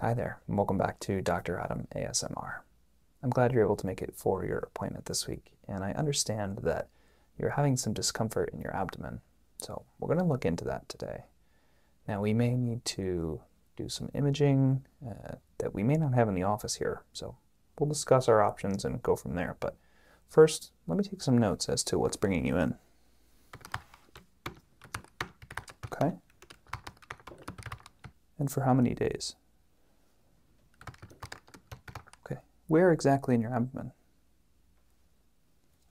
Hi there, and welcome back to Dr. Adam ASMR. I'm glad you're able to make it for your appointment this week, and I understand that you're having some discomfort in your abdomen, so we're going to look into that today. Now, we may need to do some imaging uh, that we may not have in the office here, so we'll discuss our options and go from there, but first, let me take some notes as to what's bringing you in. Okay. And for how many days? Okay. Where exactly in your abdomen?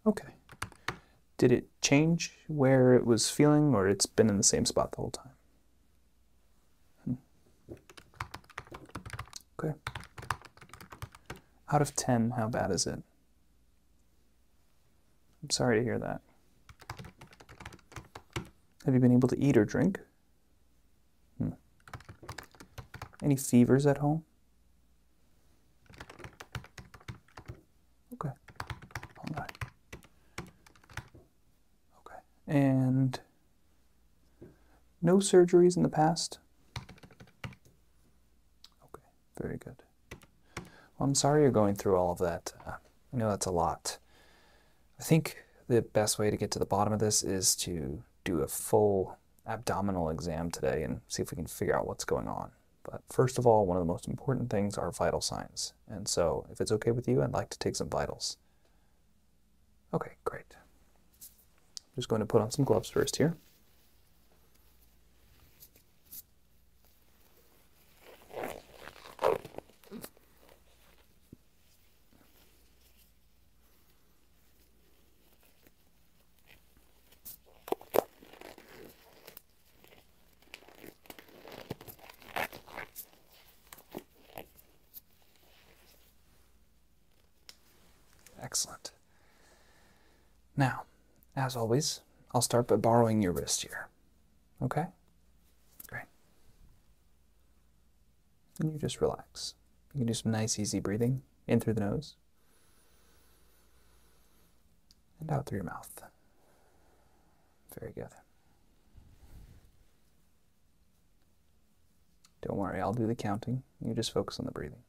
Okay. Did it change where it was feeling or it's been in the same spot the whole time? Hmm. Okay. Out of 10, how bad is it? I'm sorry to hear that. Have you been able to eat or drink? Hmm. Any fevers at home? Okay. Okay. And no surgeries in the past? Okay. Very good. Well, I'm sorry you're going through all of that. Uh, I know that's a lot. I think the best way to get to the bottom of this is to do a full abdominal exam today and see if we can figure out what's going on. But first of all, one of the most important things are vital signs. And so if it's okay with you, I'd like to take some vitals. Okay, great. I'm just going to put on some gloves first here. Excellent. Now, as always, I'll start by borrowing your wrist here. Okay? Great. And you just relax. You can do some nice, easy breathing in through the nose and out through your mouth. Very good. Don't worry, I'll do the counting. You just focus on the breathing.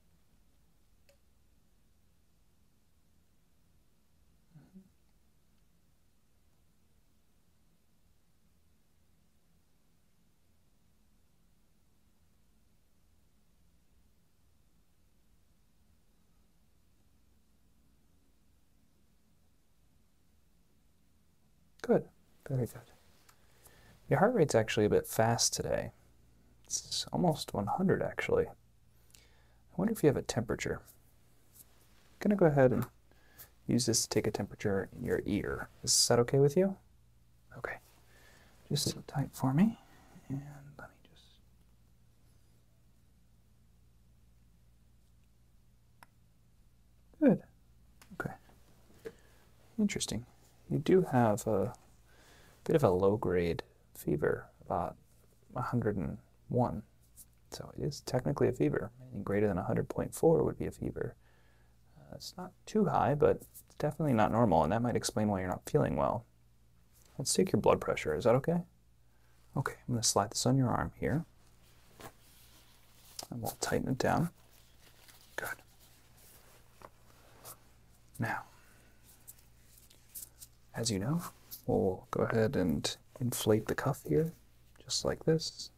Good, very good. Your heart rate's actually a bit fast today. It's almost 100 actually. I wonder if you have a temperature. I'm gonna go ahead and use this to take a temperature in your ear. Is that okay with you? Okay. Just sit tight for me and let me just. Good. Okay. Interesting. You do have a bit of a low grade fever, about 101. So it is technically a fever. Anything greater than 100.4 would be a fever. Uh, it's not too high, but definitely not normal, and that might explain why you're not feeling well. Let's take your blood pressure. Is that okay? Okay, I'm going to slide this on your arm here. And we'll tighten it down. Good. Now, as you know, we'll go ahead and inflate the cuff here, just like this.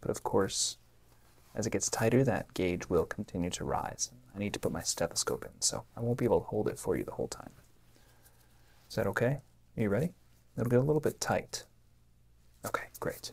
But of course, as it gets tighter, that gauge will continue to rise. I need to put my stethoscope in, so I won't be able to hold it for you the whole time. Is that okay? Are you ready? It'll get a little bit tight. Okay, great.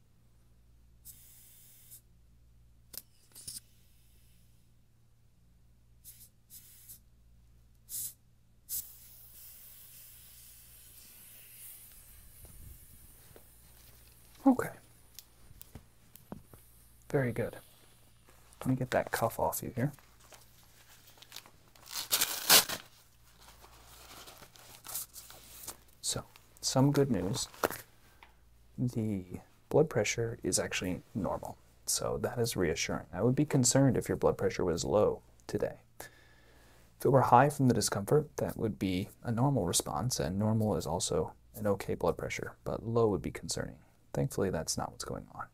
Okay. Very good. Let me get that cuff off you here. So, some good news. The blood pressure is actually normal. So that is reassuring. I would be concerned if your blood pressure was low today. If it were high from the discomfort, that would be a normal response, and normal is also an okay blood pressure, but low would be concerning. Thankfully, that's not what's going on.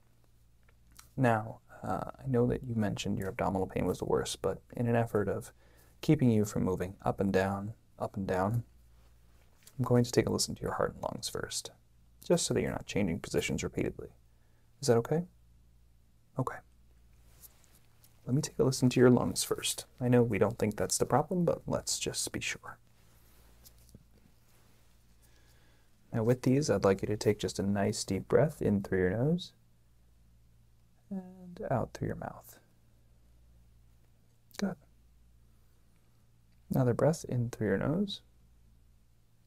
Now, uh, I know that you mentioned your abdominal pain was the worst, but in an effort of keeping you from moving up and down, up and down, I'm going to take a listen to your heart and lungs first, just so that you're not changing positions repeatedly. Is that okay? Okay. Let me take a listen to your lungs first. I know we don't think that's the problem, but let's just be sure. Now with these, I'd like you to take just a nice deep breath in through your nose and out through your mouth. Good. Another breath in through your nose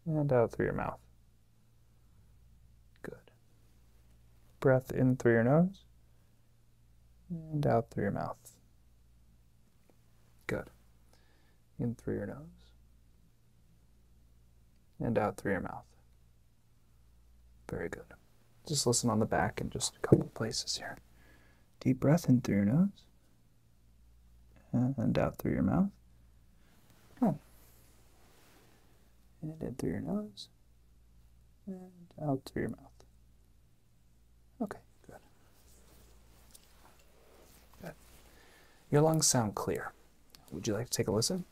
and out through your mouth. Good. Breath in through your nose and out through your mouth. Good. In through your nose and out through your mouth. Very good. Just listen on the back and just a couple places here. Deep breath in through your nose and out through your mouth. Oh. And in through your nose and out through your mouth. Okay, good. Good. Your lungs sound clear. Would you like to take a listen?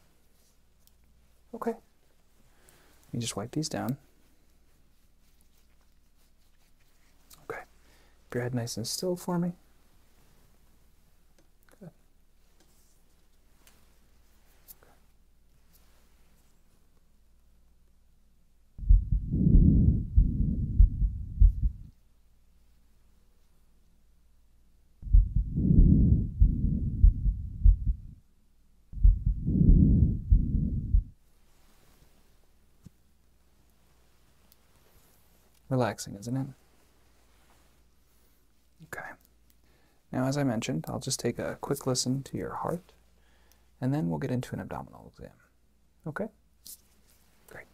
Okay. Let me just wipe these down. Okay. Keep your head nice and still for me. Okay. Relaxing, isn't it? Okay. Now, as I mentioned, I'll just take a quick listen to your heart, and then we'll get into an abdominal exam. Okay? Great.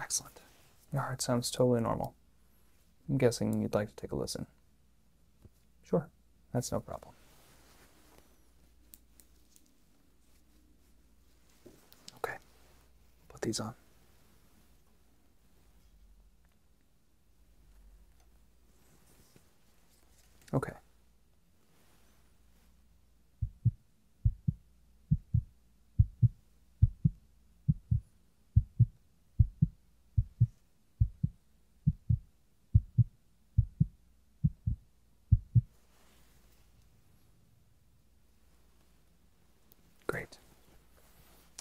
Excellent. Your heart sounds totally normal. I'm guessing you'd like to take a listen. Sure, that's no problem. Okay, put these on. Okay. Great.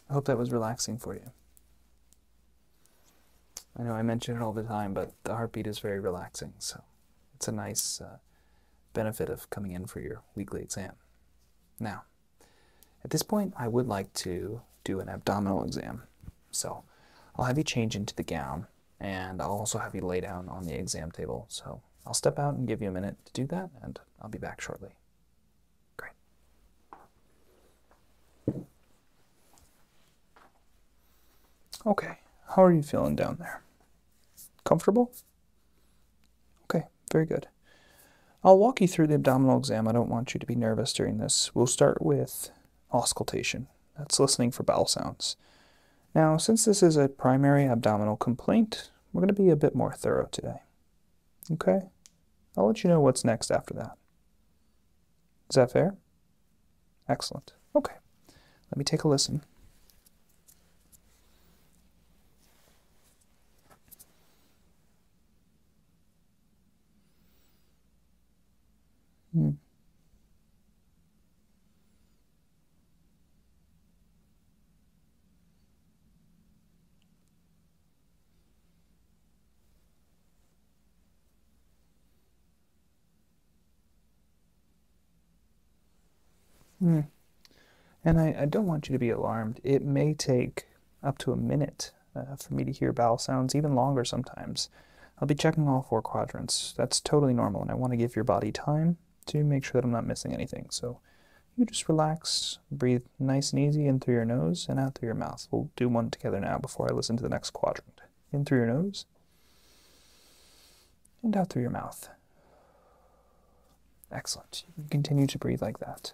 I hope that was relaxing for you. I know I mention it all the time, but the heartbeat is very relaxing, so it's a nice uh, benefit of coming in for your weekly exam. Now, at this point, I would like to do an abdominal exam, so I'll have you change into the gown and I'll also have you lay down on the exam table. So I'll step out and give you a minute to do that, and I'll be back shortly. Great. Okay, how are you feeling down there? Comfortable? Okay, very good. I'll walk you through the abdominal exam. I don't want you to be nervous during this. We'll start with auscultation. That's listening for bowel sounds. Now, since this is a primary abdominal complaint, we're going to be a bit more thorough today. Okay? I'll let you know what's next after that. Is that fair? Excellent. Okay. Let me take a listen. Hmm. Mm. And I, I, don't want you to be alarmed. It may take up to a minute uh, for me to hear bowel sounds, even longer sometimes. I'll be checking all four quadrants. That's totally normal, and I want to give your body time to make sure that I'm not missing anything. So you just relax, breathe nice and easy in through your nose and out through your mouth. We'll do one together now before I listen to the next quadrant. In through your nose and out through your mouth. Excellent. You can continue to breathe like that.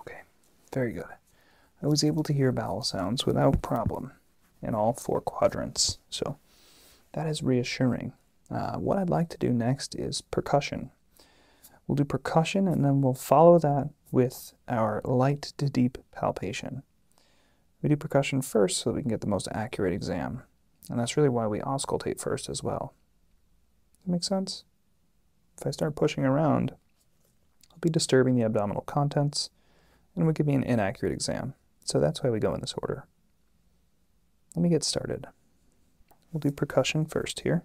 Okay, very good. I was able to hear bowel sounds without problem in all four quadrants. So that is reassuring. Uh, what I'd like to do next is percussion. We'll do percussion and then we'll follow that with our light to deep palpation. We do percussion first so we can get the most accurate exam. And that's really why we auscultate first as well. Does that make sense? If I start pushing around, I'll be disturbing the abdominal contents, and would give me an inaccurate exam. So that's why we go in this order. Let me get started. We'll do percussion first here.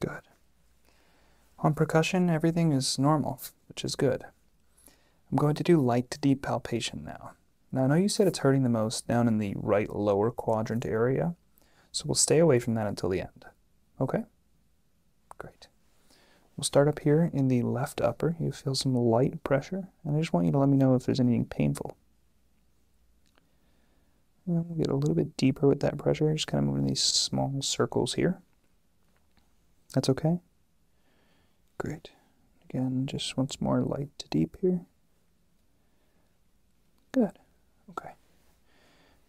Good. On percussion, everything is normal, which is good. I'm going to do light to deep palpation now. Now I know you said it's hurting the most down in the right lower quadrant area, so we'll stay away from that until the end. Okay? Great. We'll start up here in the left upper. You feel some light pressure, and I just want you to let me know if there's anything painful we get a little bit deeper with that pressure, just kind of moving these small circles here. That's okay? Great. Again, just once more light to deep here. Good. Okay.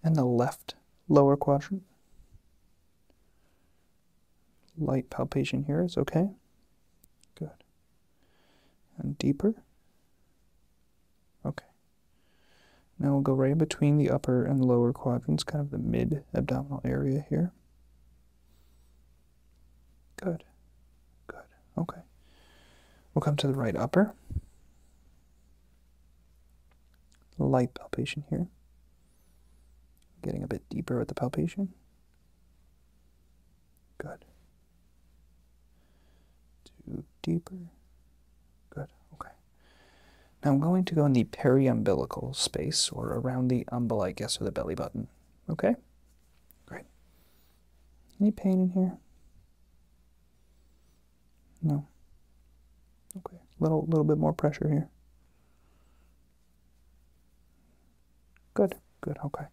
And the left lower quadrant. Light palpation here is okay. Good. And deeper. Okay. Now we'll go right between the upper and lower quadrants, kind of the mid abdominal area here. Good. Good. Okay. We'll come to the right upper. Light palpation here. Getting a bit deeper with the palpation. Good. Do deeper. Good. Okay. Now I'm going to go in the periumbilical space or around the umbel, I guess, or the belly button. Okay? Great. Any pain in here? No. Okay. Little little bit more pressure here. Good. Good, okay.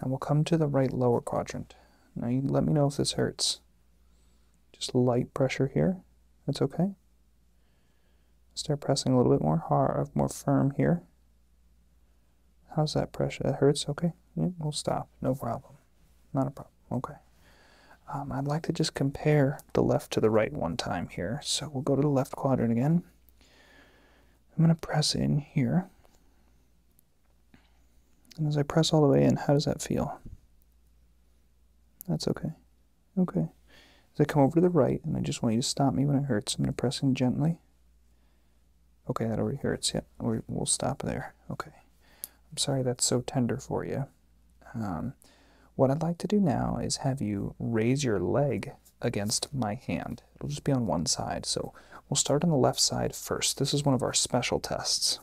Now we'll come to the right lower quadrant. Now you let me know if this hurts. Just light pressure here. That's okay. Start pressing a little bit more hard, uh, more firm here. How's that pressure? That hurts? Okay. we'll stop. No problem. Not a problem. Okay. Um, I'd like to just compare the left to the right one time here. So we'll go to the left quadrant again. I'm going to press in here. And as I press all the way in, how does that feel? That's okay. Okay. As I come over to the right, and I just want you to stop me when it hurts, I'm going to press in gently. Okay, that already hurts. Yep, yeah, we'll stop there. Okay. I'm sorry that's so tender for you. Um, what I'd like to do now is have you raise your leg against my hand. It'll just be on one side. So We'll start on the left side first. This is one of our special tests.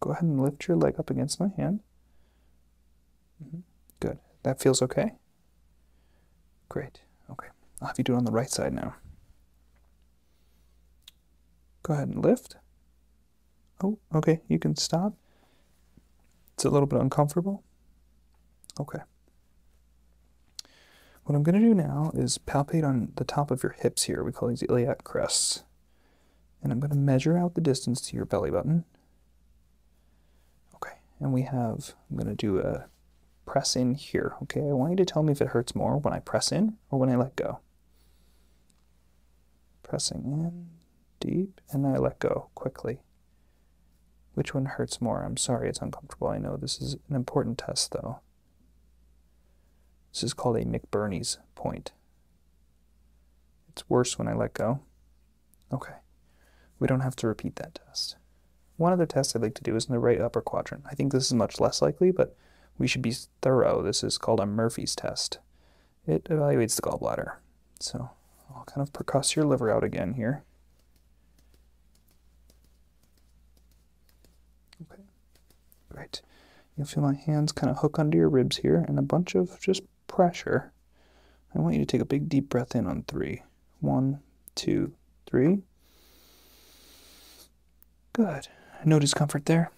Go ahead and lift your leg up against my hand. Mm-hmm. Good. That feels okay? Great. Okay. I'll have you do it on the right side now. Go ahead and lift. Oh, okay. You can stop. It's a little bit uncomfortable. Okay. What I'm going to do now is palpate on the top of your hips here. We call these iliac crests. And I'm going to measure out the distance to your belly button. Okay, and we have, I'm going to do a press in here. Okay, I want you to tell me if it hurts more when I press in or when I let go. Pressing in, deep, and I let go quickly. Which one hurts more? I'm sorry it's uncomfortable. I know this is an important test though. This is called a McBurney's point. It's worse when I let go. Okay, we don't have to repeat that test. One other test I'd like to do is in the right upper quadrant. I think this is much less likely, but we should be thorough. This is called a Murphy's test. It evaluates the gallbladder. So I'll kind of percuss your liver out again here. Okay, great. You'll feel my hands kind of hook under your ribs here and a bunch of just pressure. I want you to take a big deep breath in on three. One, two, three. Good. No discomfort there?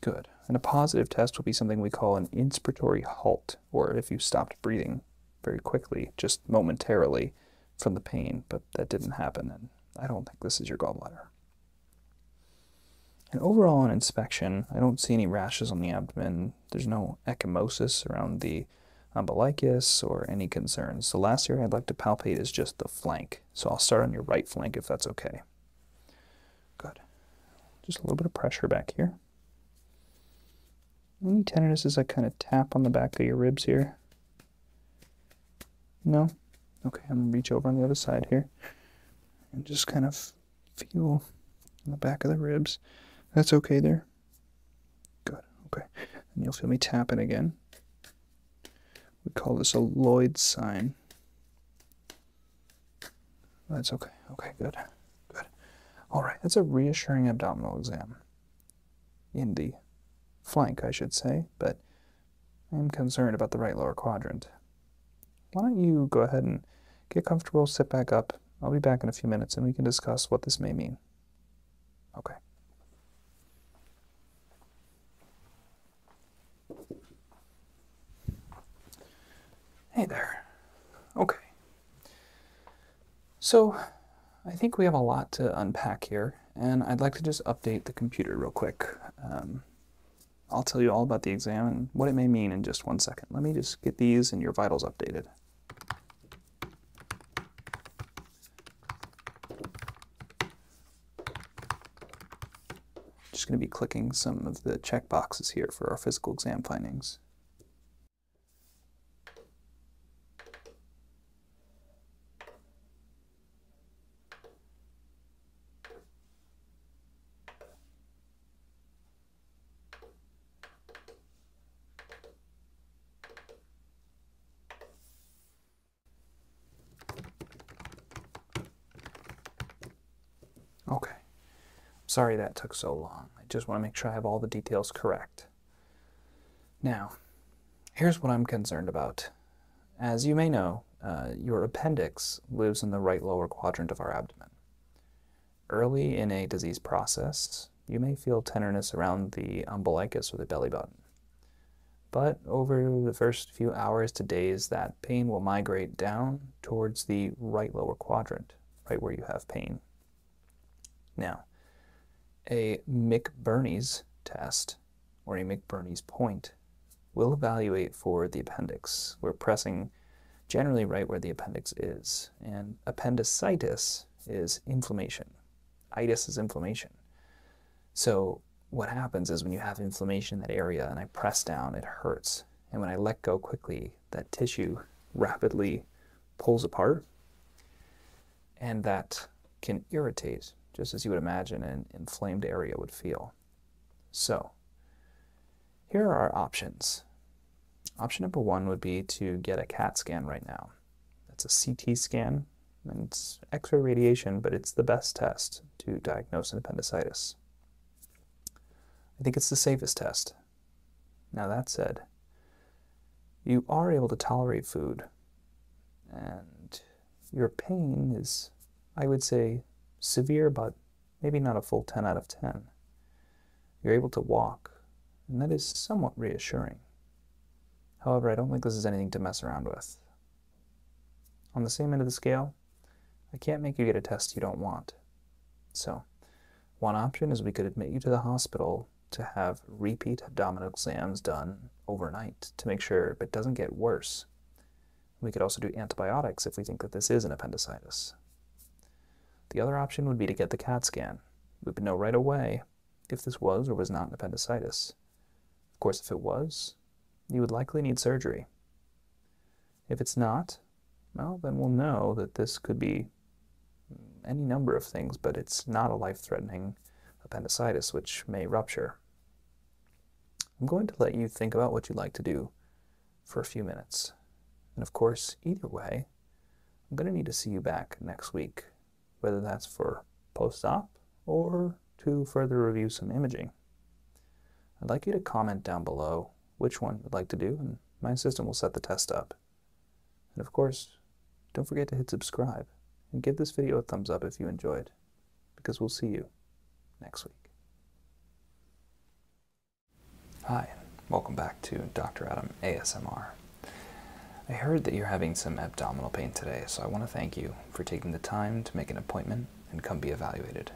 Good. And a positive test will be something we call an inspiratory halt, or if you stopped breathing very quickly, just momentarily from the pain, but that didn't happen, and I don't think this is your gallbladder. And overall, on inspection, I don't see any rashes on the abdomen. There's no ecchymosis around the umbilicus or any concerns. The last area I'd like to palpate is just the flank. So I'll start on your right flank if that's okay. Good. Just a little bit of pressure back here. Any tenderness as I kind of tap on the back of your ribs here? No? Okay, I'm going to reach over on the other side here and just kind of feel in the back of the ribs. That's okay there? Good, okay. And you'll feel me tapping again. We call this a Lloyd sign. That's okay. Okay, good. Good. All right, that's a reassuring abdominal exam in the flank, I should say, but I'm concerned about the right lower quadrant. Why don't you go ahead and get comfortable, sit back up. I'll be back in a few minutes and we can discuss what this may mean. Okay. Hey there. Okay. So I think we have a lot to unpack here and I'd like to just update the computer real quick. Um, I'll tell you all about the exam and what it may mean in just one second. Let me just get these and your vitals updated. Just going to be clicking some of the check boxes here for our physical exam findings. Okay. Sorry that took so long. I just want to make sure I have all the details correct. Now, here's what I'm concerned about. As you may know, uh, your appendix lives in the right lower quadrant of our abdomen. Early in a disease process, you may feel tenderness around the umbilicus or the belly button. But over the first few hours to days, that pain will migrate down towards the right lower quadrant, right where you have pain. Now, a McBurney's test or a McBurney's point, we'll evaluate for the appendix. We're pressing generally right where the appendix is. And appendicitis is inflammation. Itis is inflammation. So what happens is when you have inflammation in that area and I press down, it hurts. And when I let go quickly, that tissue rapidly pulls apart and that can irritate, just as you would imagine an inflamed area would feel. So, here are our options. Option number one would be to get a CAT scan right now. That's a CT scan, and it's x ray radiation, but it's the best test to diagnose an appendicitis. I think it's the safest test. Now, that said, you are able to tolerate food, and your pain is, I would say, severe, but maybe not a full 10 out of 10. You're able to walk, and that is somewhat reassuring. However, I don't think this is anything to mess around with. On the same end of the scale, I can't make you get a test you don't want. So, one option is we could admit you to the hospital to have repeat abdominal exams done overnight to make sure it doesn't get worse. We could also do antibiotics if we think that this is an appendicitis. The other option would be to get the CAT scan. We would know right away if this was or was not an appendicitis. Of course, if it was, you would likely need surgery. If it's not, well, then we'll know that this could be any number of things, but it's not a life-threatening appendicitis, which may rupture. I'm going to let you think about what you'd like to do for a few minutes. And of course, either way, I'm going to need to see you back next week, whether that's for post-op or to further review some imaging. I'd like you to comment down below which one you'd like to do, and my assistant will set the test up. And of course, don't forget to hit subscribe, and give this video a thumbs up if you enjoyed because we'll see you next week. Hi, and welcome back to Dr. Adam ASMR. I heard that you're having some abdominal pain today, so I want to thank you for taking the time to make an appointment and come be evaluated.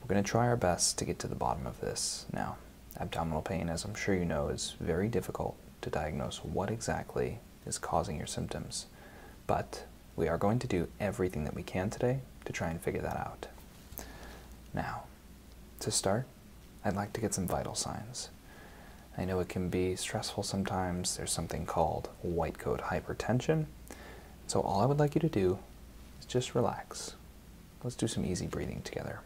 We're going to try our best to get to the bottom of this now. Abdominal pain, as I'm sure you know, is very difficult to diagnose what exactly is causing your symptoms. But we are going to do everything that we can today to try and figure that out. Now, to start, I'd like to get some vital signs. I know it can be stressful sometimes. There's something called white coat hypertension. So all I would like you to do is just relax. Let's do some easy breathing together.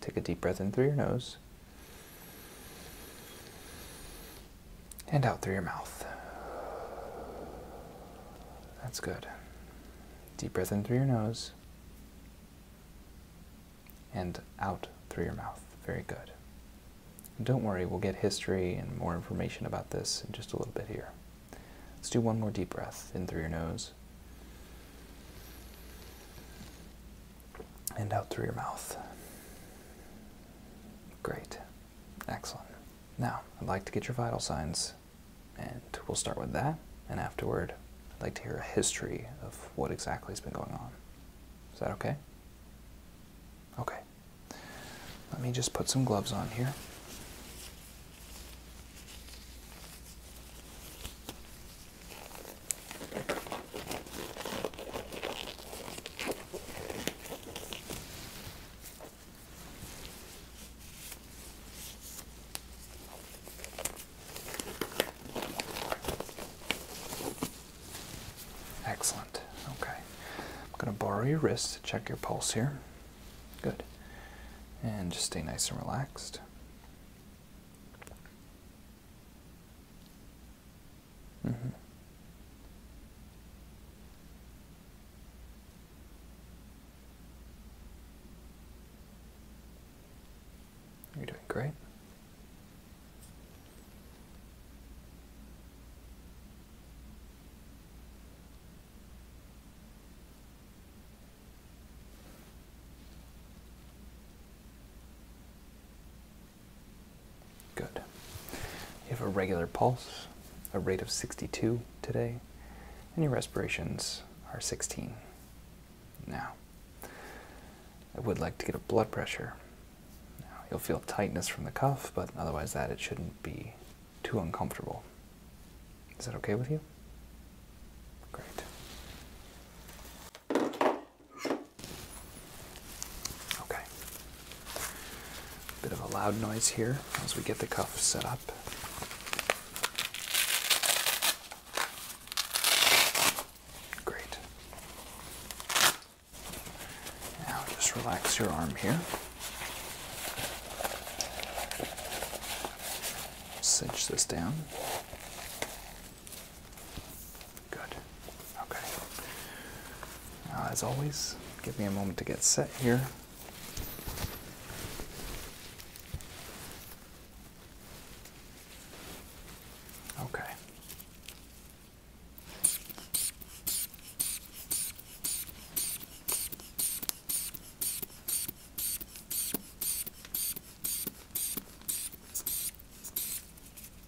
Take a deep breath in through your nose and out through your mouth. That's good. Deep breath in through your nose and out through your mouth. Very good. don't worry, we'll get history and more information about this in just a little bit here. Let's do one more deep breath in through your nose and out through your mouth. Great. Excellent. Now, I'd like to get your vital signs, and we'll start with that, and afterward, I'd like to hear a history of what exactly has been going on. Is that okay? Okay. Let me just put some gloves on here. Excellent. Okay. I'm going to borrow your wrist to check your pulse here. Good. And just stay nice and relaxed. Mm You're doing great. Good. You have a regular pulse, a rate of 62 today, and your respirations are 16. Now, I would like to get a blood pressure. you'll feel tightness from the cuff, but otherwise that it shouldn't be too uncomfortable. Is that okay with you? Great. Okay. Bit of a loud noise here as we get the cuff set up. Great. Now just relax your arm here. Cinch this down. Good. Okay. as always, give me a moment to get set here. Okay.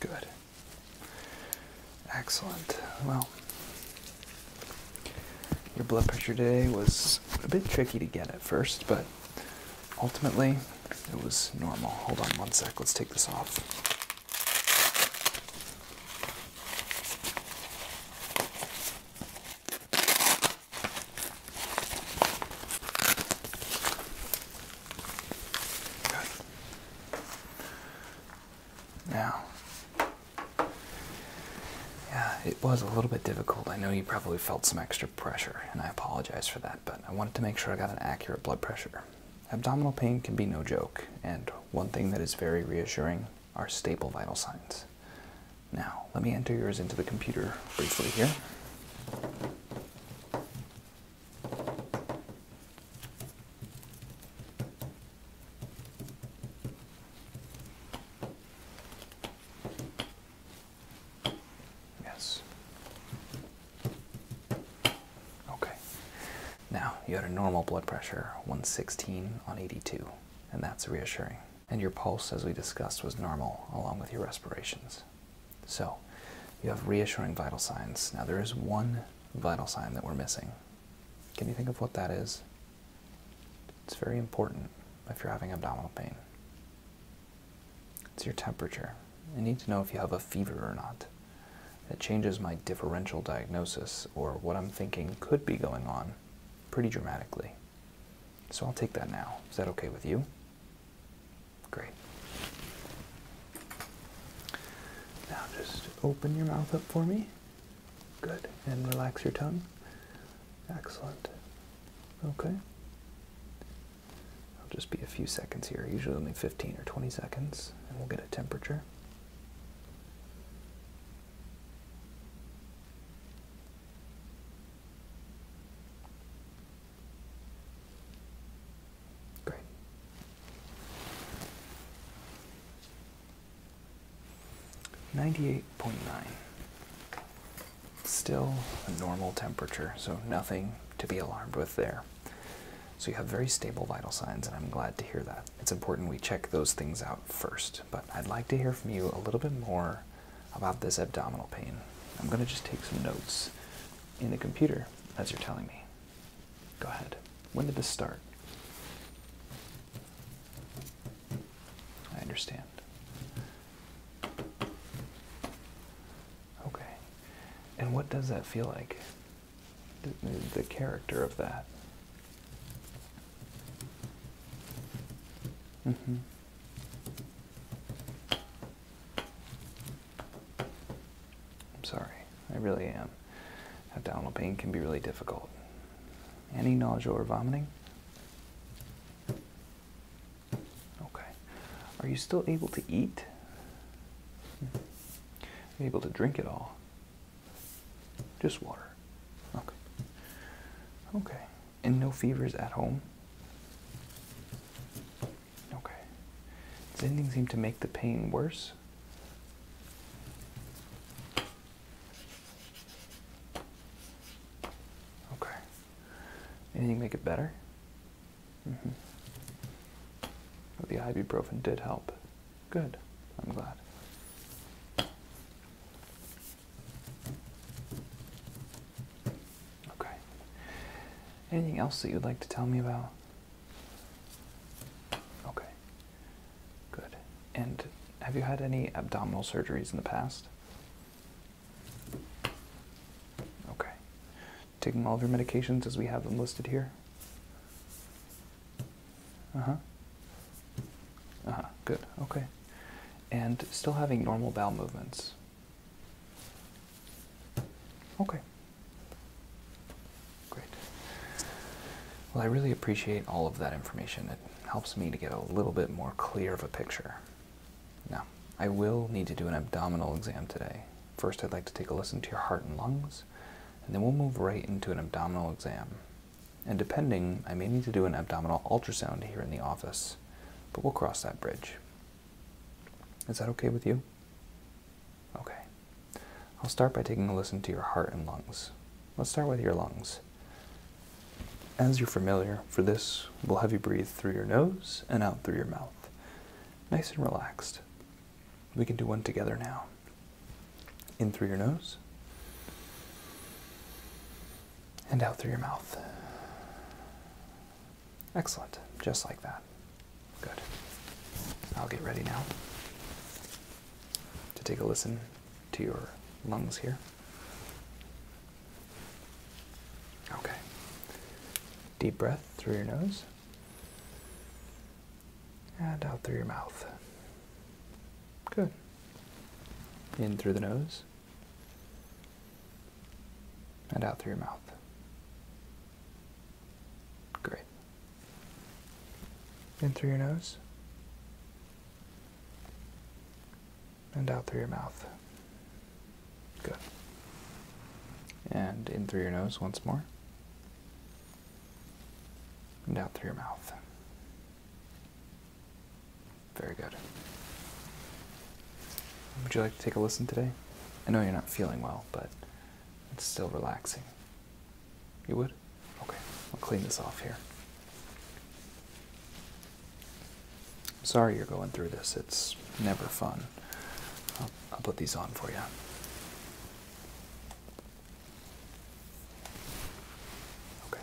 Good. Excellent. Well, your blood pressure today was a bit tricky to get at first, but ultimately it was normal. Hold on one sec, let's take this off. Now, yeah, it was a little bit difficult. I know you probably felt some extra pressure, and I apologize for that, but I wanted to make sure I got an accurate blood pressure. Abdominal pain can be no joke, and one thing that is very reassuring are staple vital signs. Now, let me enter yours into the computer briefly here. Yes. Okay. Now, you had a normal blood pressure, 116 on 82, and that's reassuring. And your pulse, as we discussed, was normal along with your respirations. So, you have reassuring vital signs. Now, there is one vital sign that we're missing. Can you think of what that is? It's very important if you're having abdominal pain. It's your temperature. I need to know if you have a fever or not. It changes my differential diagnosis or what I'm thinking could be going on pretty dramatically. So I'll take that now. Is that okay with you? Great. Now just open your mouth up for me. Good. And relax your tongue. Excellent. Okay. i will just be a few seconds here, usually only 15 or 20 seconds, and we'll get a temperature. Great. Ninety-eight point nine. Still a normal temperature, so nothing to be alarmed with there. So you have very stable vital signs, and I'm glad to hear that. It's important we check those things out first, but I'd like to hear from you a little bit more about this abdominal pain. I'm going to just take some notes in the computer as you're telling me. Go ahead. When did this start? I understand. Okay. And what does that feel like? The character of that. Mm-hmm. I'm sorry, I really am. Abdominal pain can be really difficult. Any nausea or vomiting? Okay. Are you still able to eat? Hmm. able to drink at all? Just water. Okay. Okay. And no fevers at home? Okay. Does anything seem to make the pain worse? Okay. Anything make it better? Mm -hmm. the ibuprofen did help. Good. I'm glad. Okay. Anything else that you'd like to tell me about? Okay. Good. And have you had any abdominal surgeries in the past? Okay. Taking all of your medications as we have them listed here? Uh huh. Uh huh. Good. Okay. And still having normal bowel movements. Okay. Great. Well, I really appreciate all of that information. It helps me to get a little bit more clear of a picture. Now, I will need to do an abdominal exam today. First, I'd like to take a listen to your heart and lungs, and then we'll move right into an abdominal exam. And depending, I may need to do an abdominal ultrasound here in the office, but we'll cross that bridge. Is that okay with you? Okay. I'll start by taking a listen to your heart and lungs. Let's start with your lungs. As you're familiar, for this, we'll have you breathe through your nose and out through your mouth. Nice and relaxed. We can do one together now. In through your nose and out through your mouth. Excellent. Just like that. Good. I'll get ready now to take a listen to your lungs here. Okay. Deep breath through your nose and out through your mouth. Good in through the nose and out through your mouth. Great. In through your nose and out through your mouth. Good. And in through your nose once more and out through your mouth. Very good. Would you like to take a listen today? I know you're not feeling well, but it's still relaxing. You would? Okay, I'll clean this off here. I'm sorry you're going through this, it's never fun. I'll, I'll put these on for you. Okay,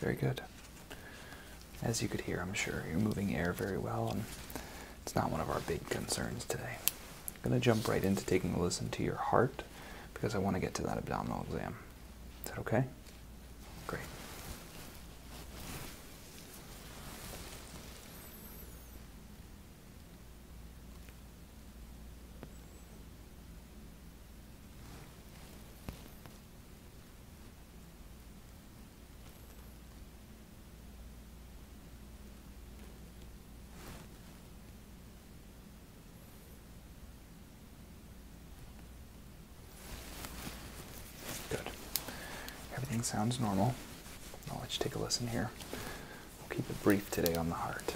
Very good. As you could hear, I'm sure you're moving air very well, and it's not one of our big concerns today. I'm going to jump right into taking a listen to your heart because I want to get to that abdominal exam. Is that okay? Great. Good. Everything sounds normal. I'll let you take a listen here. We'll keep it brief today on the heart.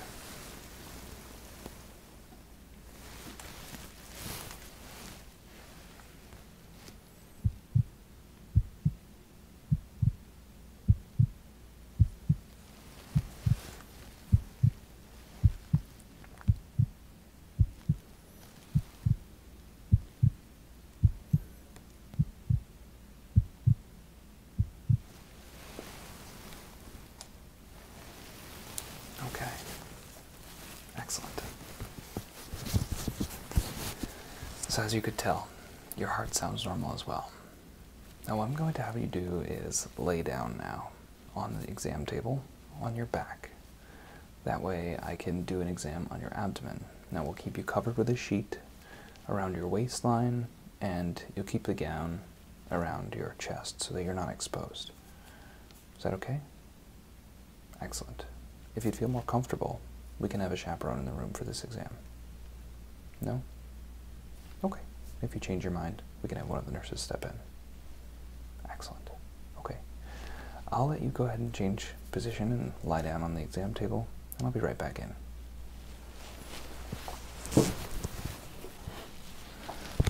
Okay. Excellent. So, as you could tell, your heart sounds normal as well. Now, what I'm going to have you do is lay down now on the exam table on your back. That way, I can do an exam on your abdomen. Now, we'll keep you covered with a sheet around your waistline and you'll keep the gown around your chest so that you're not exposed. Is that okay? Excellent. If you'd feel more comfortable, we can have a chaperone in the room for this exam. No? Okay. If you change your mind, we can have one of the nurses step in. Excellent. Okay. I'll let you go ahead and change position and lie down on the exam table. I'll be right back in.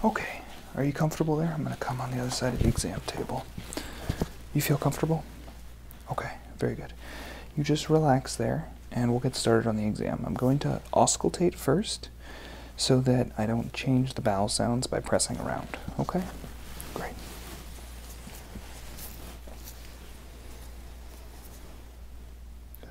Okay, are you comfortable there? I'm going to come on the other side of the exam table. You feel comfortable? Okay, very good. You just relax there and we'll get started on the exam. I'm going to auscultate first so that I don't change the vowel sounds by pressing around. Okay? Great.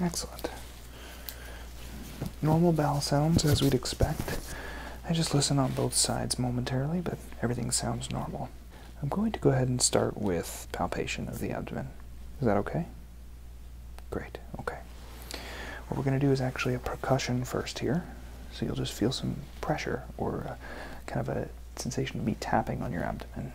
Excellent. Normal bowel sounds as we'd expect. I just listen on both sides momentarily, but everything sounds normal. I'm going to go ahead and start with palpation of the abdomen. Is that okay? Great, okay. What we're going to do is actually a percussion first here. So you'll just feel some pressure or kind of a sensation of me tapping on your abdomen.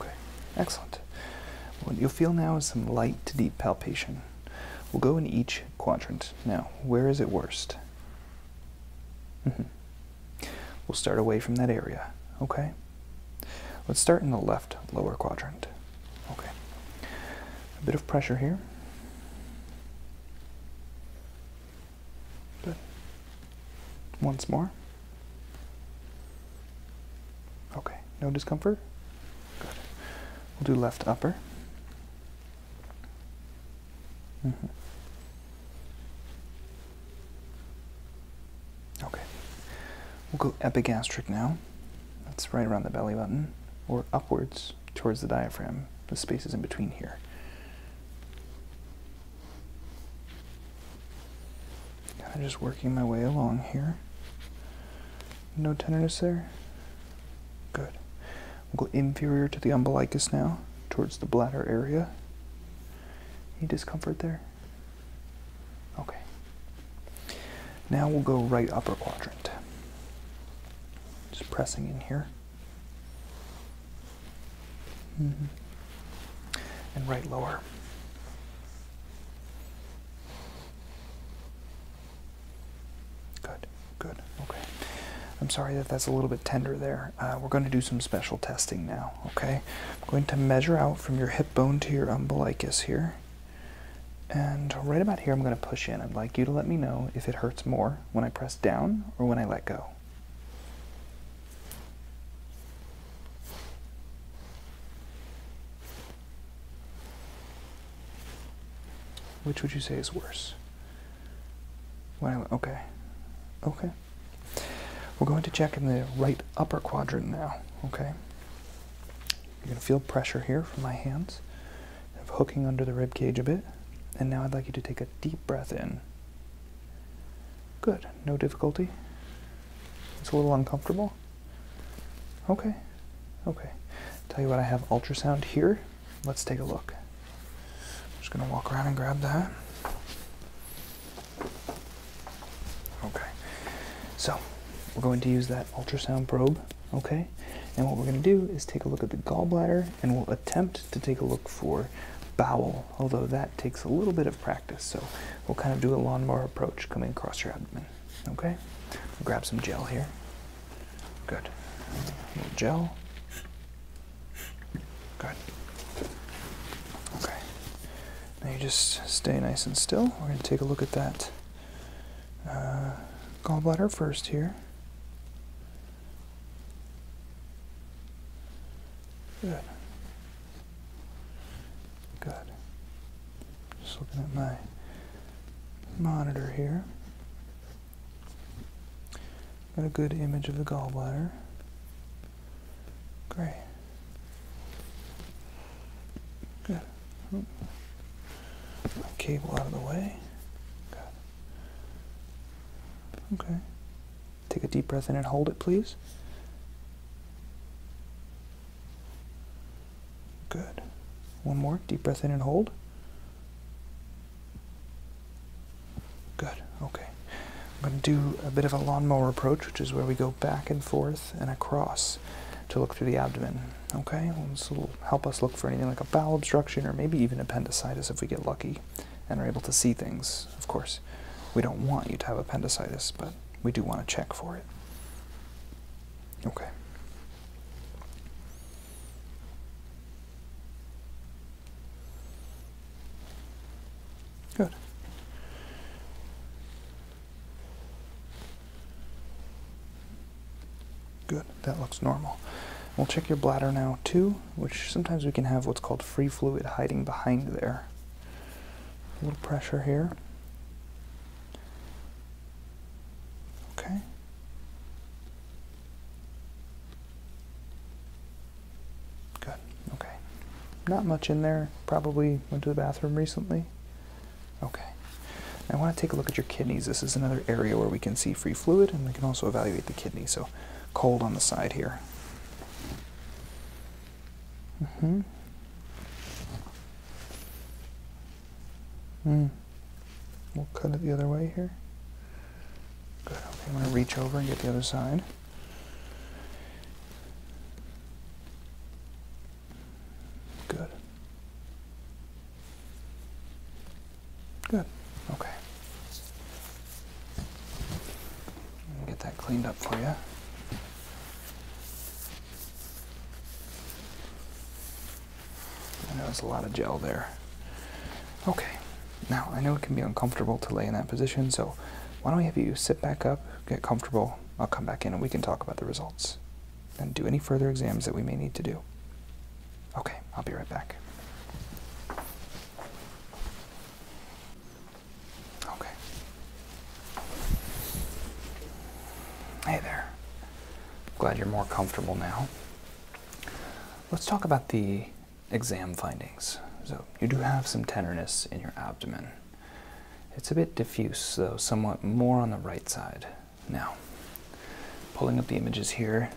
Okay, excellent. What you'll feel now is some light to deep palpation. We'll go in each quadrant. Now, where is it worst? Mm-hmm. We'll start away from that area, okay? Let's start in the left lower quadrant. Okay. A bit of pressure here. Good. Once more. Okay. No discomfort? Good. We'll do left upper. Mm -hmm. Okay. We'll go epigastric now. That's right around the belly button, or upwards towards the diaphragm. The space is in between here. And I'm just working my way along here. No tenderness there? Good. We'll go inferior to the umbilicus now, towards the bladder area. Any discomfort there? Okay. Now we'll go right upper quadrant. Just pressing in here. Mm-hmm. And right lower. Good, good, okay. I'm sorry that that's a little bit tender there. Uh, we're going to do some special testing now, okay? I'm going to measure out from your hip bone to your umbilicus here. And right about here, I'm going to push in. I'd like you to let me know if it hurts more when I press down or when I let go. Which would you say is worse? When I, okay. Okay. We're going to check in the right upper quadrant now, okay? You're going to feel pressure here from my hands, of hooking under the rib cage a bit. And now I'd like you to take a deep breath in. Good, no difficulty. It's a little uncomfortable. Okay, okay. Tell you what, I have ultrasound here. Let's take a look. just going to walk around and grab that. Okay, so we're going to use that ultrasound probe Okay, and what we're going to do is take a look at the gallbladder and we'll attempt to take a look for bowel, although that takes a little bit of practice. So we'll kind of do a lawn mower approach coming across your abdomen. Okay, grab some gel here. Good. little gel. Good. Okay, now you just stay nice and still. We're going to take a look at that. Uh, gallbladder first here. Good. Good. Just looking at my monitor here. Got a good image of the gallbladder. Great. Good. Cable out of the way. Okay. Take a deep breath in and hold it, please. Good. One more. Deep breath in and hold. Good. Okay. I'm going to do a bit of a lawnmower approach, which is where we go back and forth and across to look through the abdomen. Okay, this will help us look for anything like a bowel obstruction or maybe even appendicitis if we get lucky and are able to see things. Of course, we don't want you to have appendicitis, but we do want to check for it. Okay. Good. Good, that looks normal. We'll check your bladder now too, which sometimes we can have what's called free fluid hiding behind there. A little pressure here. Okay. Good, okay. Not much in there, probably went to the bathroom recently. Okay. I want to take a look at your kidneys. This is another area where we can see free fluid and we can also evaluate the kidney. So, cold on the side here. Mm-hmm. Mm hmm. We'll cut it the other way here. Good. Okay, I'm going to reach over and get the other side. Good. Good. Okay. Get that cleaned up for you. I know there's a lot of gel there. Okay. Now, I know it can be uncomfortable to lay in that position, so why don't we have you sit back up, get comfortable? I'll come back in and we can talk about the results and do any further exams that we may need to do. Okay, I'll be right back. Okay. Hey there. Glad you're more comfortable now. Let's talk about the exam findings. So, you do have some tenderness in your abdomen. It's a bit diffuse, though somewhat more on the right side. Now, pulling up the images here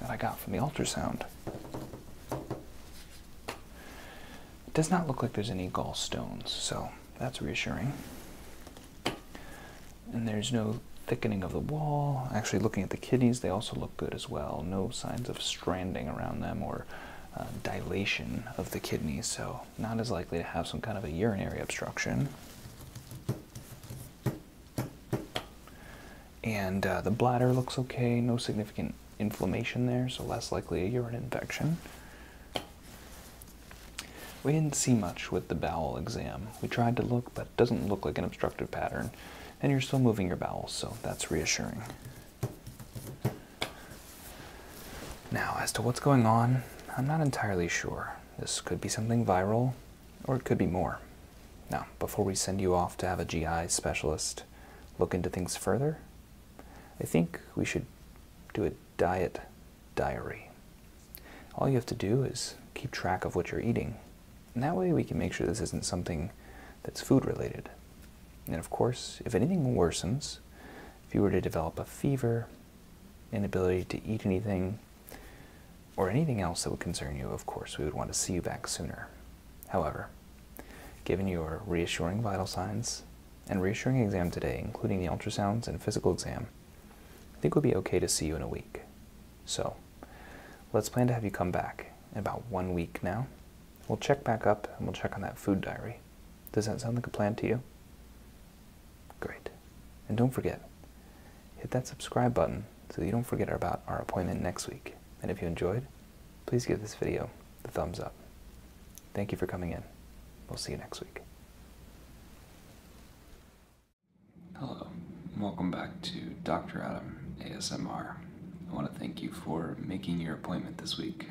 that I got from the ultrasound. It does not look like there's any gallstones, so that's reassuring. And there's no thickening of the wall. Actually, looking at the kidneys, they also look good as well. No signs of stranding around them or uh, dilation of the kidneys, so not as likely to have some kind of a urinary obstruction. And uh, the bladder looks okay, no significant inflammation there, so less likely a urine infection. We didn't see much with the bowel exam. We tried to look, but it doesn't look like an obstructive pattern, and you're still moving your bowels, so that's reassuring. Now, as to what's going on, I'm not entirely sure. This could be something viral, or it could be more. Now, before we send you off to have a GI specialist look into things further, I think we should do a diet diary. All you have to do is keep track of what you're eating. And that way we can make sure this isn't something that's food related. And of course, if anything worsens, if you were to develop a fever, inability to eat anything, or anything else that would concern you, of course, we would want to see you back sooner. However, given your reassuring vital signs and reassuring exam today, including the ultrasounds and physical exam, I think we'll be okay to see you in a week. So, let's plan to have you come back in about one week now. We'll check back up and we'll check on that food diary. Does that sound like a plan to you? Great. And don't forget, hit that subscribe button so you don't forget about our appointment next week. And if you enjoyed, please give this video the thumbs up. Thank you for coming in. We'll see you next week. Hello, welcome back to Dr. Adam ASMR. I want to thank you for making your appointment this week.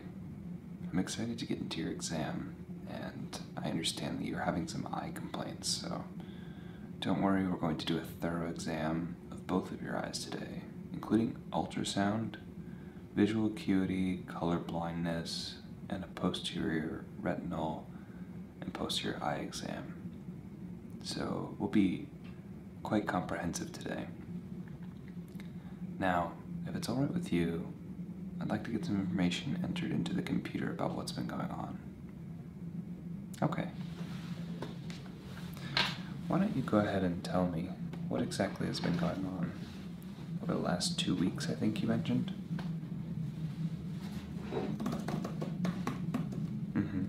I'm excited to get into your exam and I understand that you're having some eye complaints, so don't worry, we're going to do a thorough exam of both of your eyes today, including ultrasound, visual acuity, color blindness, and a posterior retinal and posterior eye exam. So we'll be quite comprehensive today. Now, if it's alright with you, I'd like to get some information entered into the computer about what's been going on. Okay. Why don't you go ahead and tell me what exactly has been going on over the last two weeks, I think you mentioned? hmm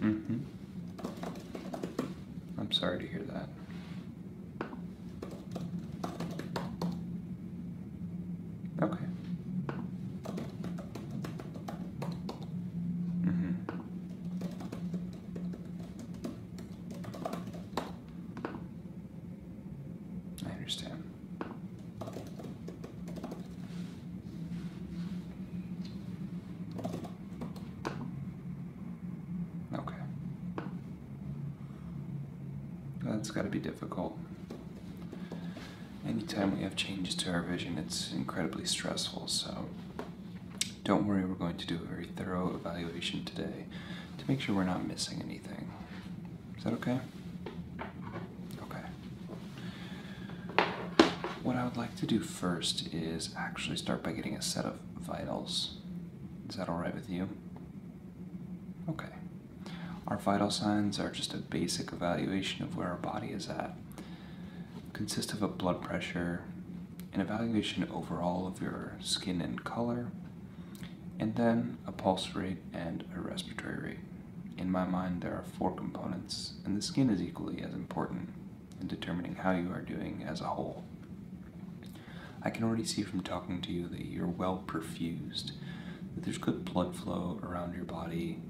hmm I'm sorry to hear that. Okay. Mm-hmm. I understand. Okay. That's got to be difficult. Anytime we have changes to our vision, it's incredibly stressful, so don't worry, we're going to do a very thorough evaluation today to make sure we're not missing anything. Is that okay? Okay. What I would like to do first is actually start by getting a set of vitals. Is that alright with you? Okay. Our vital signs are just a basic evaluation of where our body is at. Consist of a blood pressure, an evaluation overall of your skin and color, and then a pulse rate and a respiratory rate. In my mind, there are four components, and the skin is equally as important in determining how you are doing as a whole. I can already see from talking to you that you're well perfused, that there's good blood flow around your body,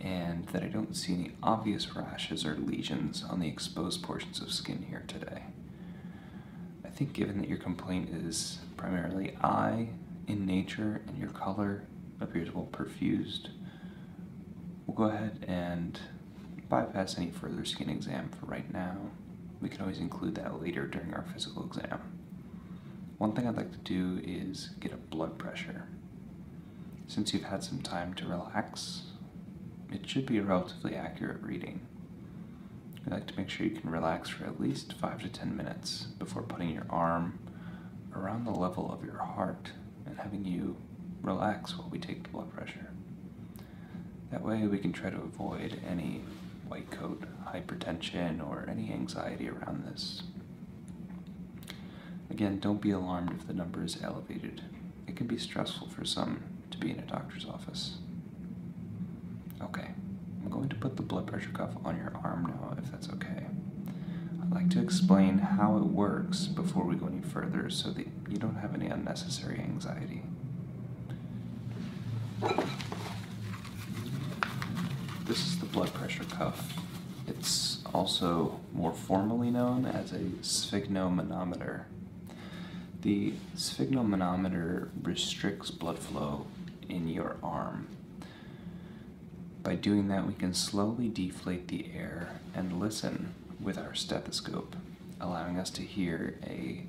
and that I don't see any obvious rashes or lesions on the exposed portions of skin here today. I think, given that your complaint is primarily eye in nature and your color appears well perfused, we'll go ahead and bypass any further skin exam for right now. We can always include that later during our physical exam. One thing I'd like to do is get a blood pressure. Since you've had some time to relax, it should be a relatively accurate reading. We like to make sure you can relax for at least 5 to 10 minutes before putting your arm around the level of your heart and having you relax while we take the blood pressure. That way, we can try to avoid any white coat hypertension or any anxiety around this. Again, don't be alarmed if the number is elevated. It can be stressful for some to be in a doctor's office. Okay, I'm going to put the blood pressure cuff on your arm now, if that's okay. I'd like to explain how it works before we go any further so the you don't have any unnecessary anxiety. This is the blood pressure cuff. It's also more formally known as a sphygmomanometer. The sphygmomanometer restricts blood flow in your arm. By doing that, we can slowly deflate the air and listen with our stethoscope, allowing us to hear a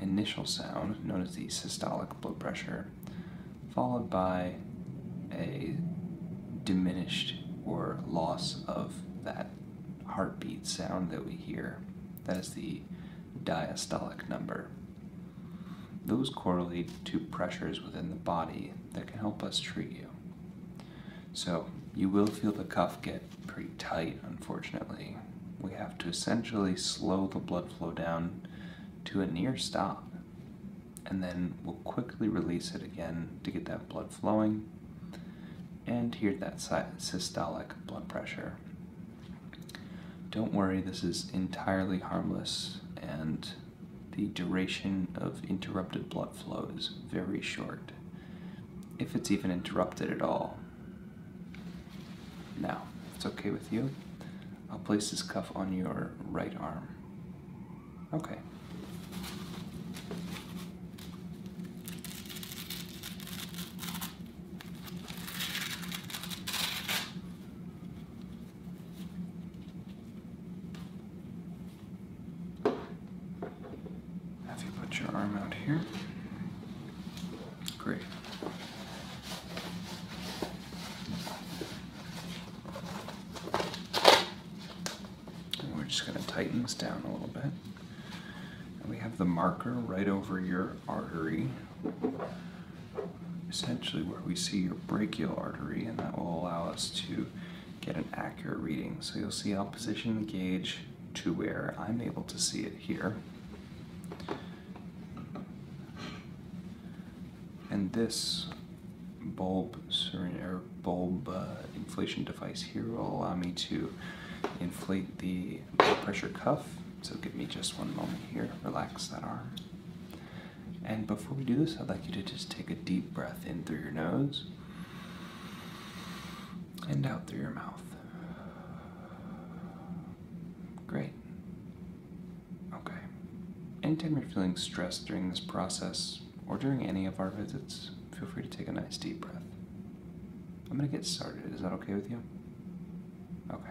initial sound known as the systolic blood pressure, followed by a diminished or loss of that heartbeat sound that we hear. That is the diastolic number. Those correlate to pressures within the body that can help us treat you. So you will feel the cuff get pretty tight, unfortunately. We have to essentially slow the blood flow down to a near stop. And then we'll quickly release it again to get that blood flowing and hear that systolic blood pressure. Don't worry, this is entirely harmless and the duration of interrupted blood flow is very short, if it's even interrupted at all. Now, it's okay with you, I'll place this cuff on your right arm. Okay. Have you put your arm out here? Great. we're just going to tighten this down a little bit. And we have the marker right over your artery, essentially where we see your brachial artery, and that will allow us to get an accurate reading. So you'll see I'll position the gauge to where I'm able to see it here. And this bulb or bulb uh, inflation device here will allow me to inflate the pressure cuff. So give me just one moment here, relax that arm. And before we do this, I'd like you to just take a deep breath in through your nose and out through your mouth. Great. Okay. Anytime you're feeling stressed during this process or during any of our visits, feel free to take a nice deep breath. I'm going to get started. Is that okay with you? Okay.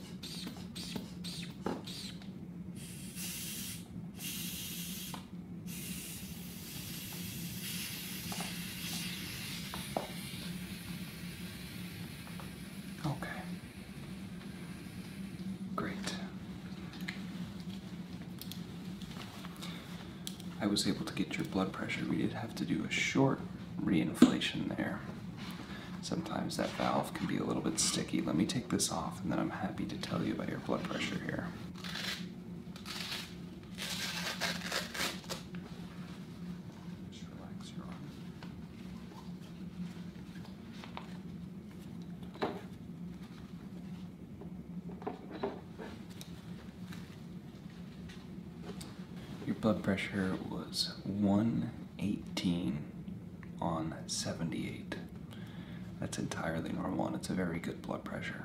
Okay. Great. I was able to get your blood pressure. We did have to do a short reinflation there sometimes that valve can be a little bit sticky. Let me take this off and then I'm happy to tell you about your blood pressure here. Just relax your arm. Your blood pressure was one 18 on 78. That's entirely normal and it's a very good blood pressure.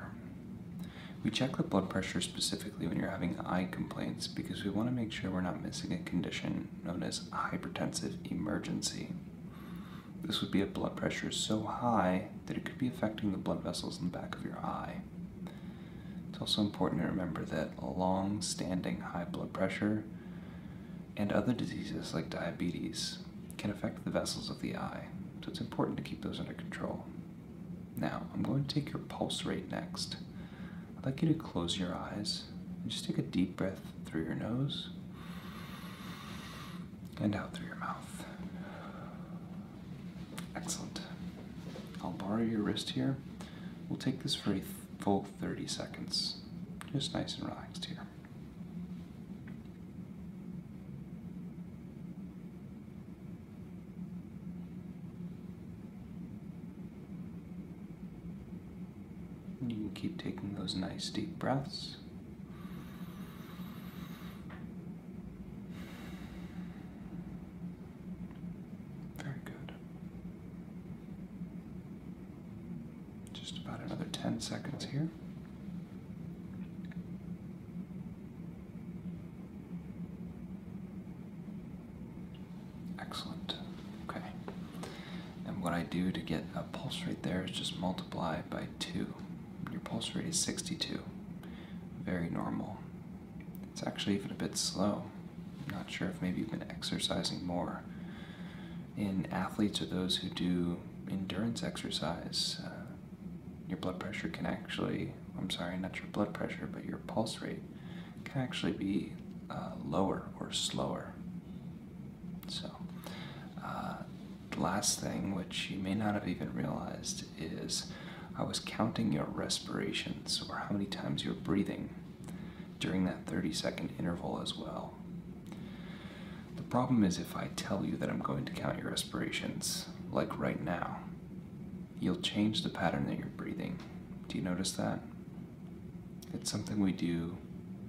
We check the blood pressure specifically when you're having eye complaints because we want to make sure we're not missing a condition known as hypertensive emergency. This would be a blood pressure so high that it could be affecting the blood vessels in the back of your eye. It's also important to remember that long-standing high blood pressure and other diseases like diabetes can affect the vessels of the eye, so it's important to keep those under control. Now, I'm going to take your pulse rate next. I'd like you to close your eyes and just take a deep breath through your nose and out through your mouth. Excellent. I'll borrow your wrist here. We'll take this for a full 30 seconds. Just nice and relaxed here. You can keep taking those nice deep breaths. Very good. Just about another 10 seconds here. Excellent. Okay. And what I do to get a pulse rate there is just multiply by 2. Your pulse rate is 62. Very normal. It's actually even a bit slow. I'm not sure if maybe you've been exercising more in athletes or those who do endurance exercise, uh, your blood pressure can actually, I'm sorry, not your blood pressure, but your pulse rate can actually be uh, lower or slower. So, uh, the last thing, which you may not have even realized, is I was counting your respirations or how many times you're breathing during that 30 second interval as well. The problem is if I tell you that I'm going to count your respirations, like right now, you'll change the pattern that you're breathing. Do you notice that? It's something we do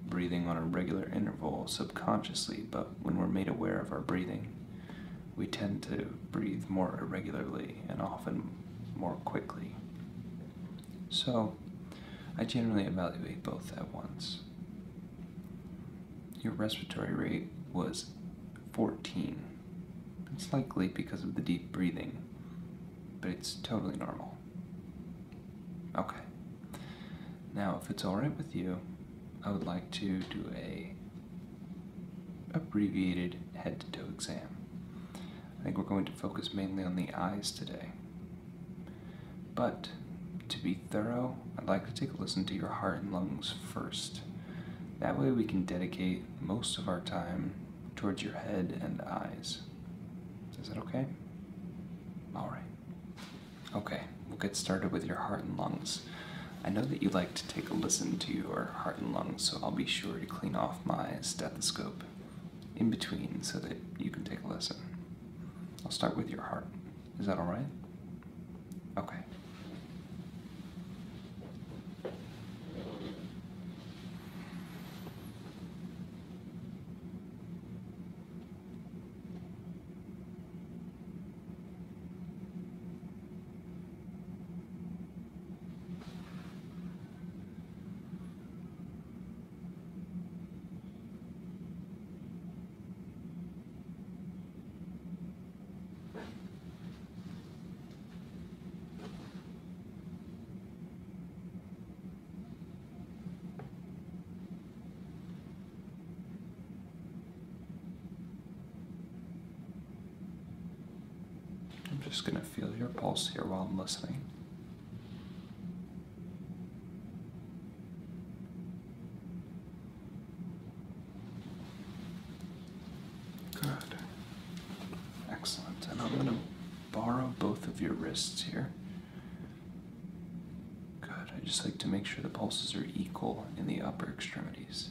breathing on a regular interval subconsciously, but when we're made aware of our breathing, we tend to breathe more irregularly and often more quickly. So I generally evaluate both at once. Your respiratory rate was 14. It's likely because of the deep breathing, but it's totally normal. Okay. Now, if it's alright with you, I would like to do a abbreviated head-to-toe exam. I think we're going to focus mainly on the eyes today. But to be thorough, I'd like to take a listen to your heart and lungs first. That way, we can dedicate most of our time towards your head and eyes. Is that okay? Alright. Okay, we'll get started with your heart and lungs. I know that you would like to take a listen to your heart and lungs, so I'll be sure to clean off my stethoscope in between so that you can take a listen. I'll start with your heart. Is that all right? Okay. I'm just going to feel your pulse here while I'm listening. Good. Excellent. And I'm going to borrow both of your wrists here. Good. I just like to make sure the pulses are equal in the upper extremities.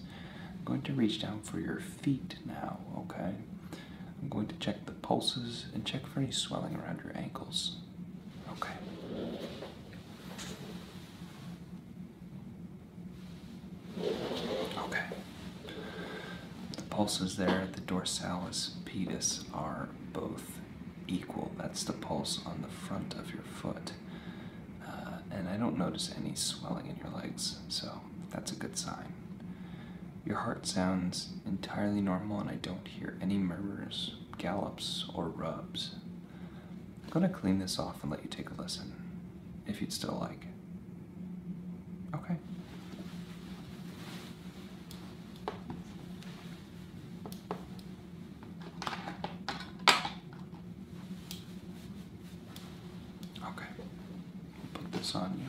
I'm going to reach down for your feet now, okay? I'm going to check the pulses and check for any swelling around your ankles. Okay. Okay. The pulses there, the dorsalis pedis are both equal. That's the pulse on the front of your foot. Uh, and I don't notice any swelling in your legs, so that's a good sign. Your heart sounds entirely normal, and I don't hear any murmurs gallops, or rubs. I'm going to clean this off and let you take a listen, if you'd still like. Okay. Okay. Put this on you.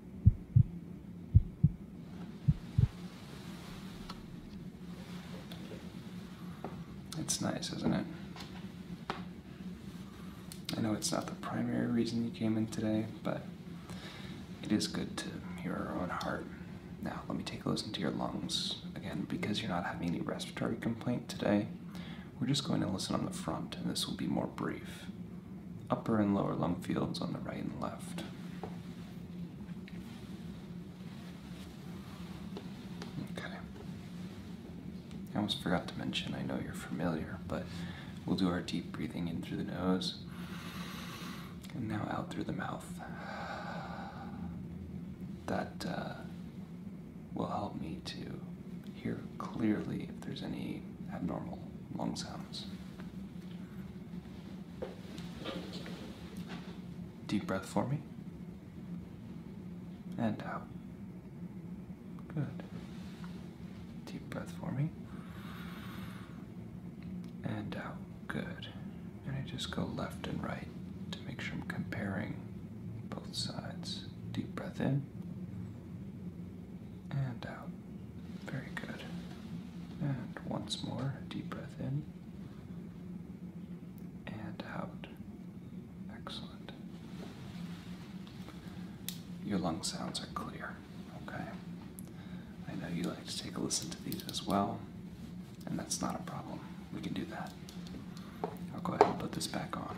It's nice, isn't it? I know it's not the primary reason you came in today, but it is good to hear our own heart. Now, let me take a listen to your lungs. Again, because you're not having any respiratory complaint today, we're just going to listen on the front, and this will be more brief upper and lower lung fields on the right and left. Okay. I almost forgot to mention, I know you're familiar, but we'll do our deep breathing in through the nose and now out through the mouth. That uh, will help me to hear clearly if there's any abnormal lung sounds. Deep breath for me. And out. Good. Deep breath for me. And out. Good. And I just go left and right to make sure I'm comparing both sides. Deep breath in. And out. Very good. And once more, a deep breath in and out. Excellent. Your lung sounds are clear, okay? I know you like to take a listen to these as well, and that's not a problem. We can do that. I'll go ahead and put this back on.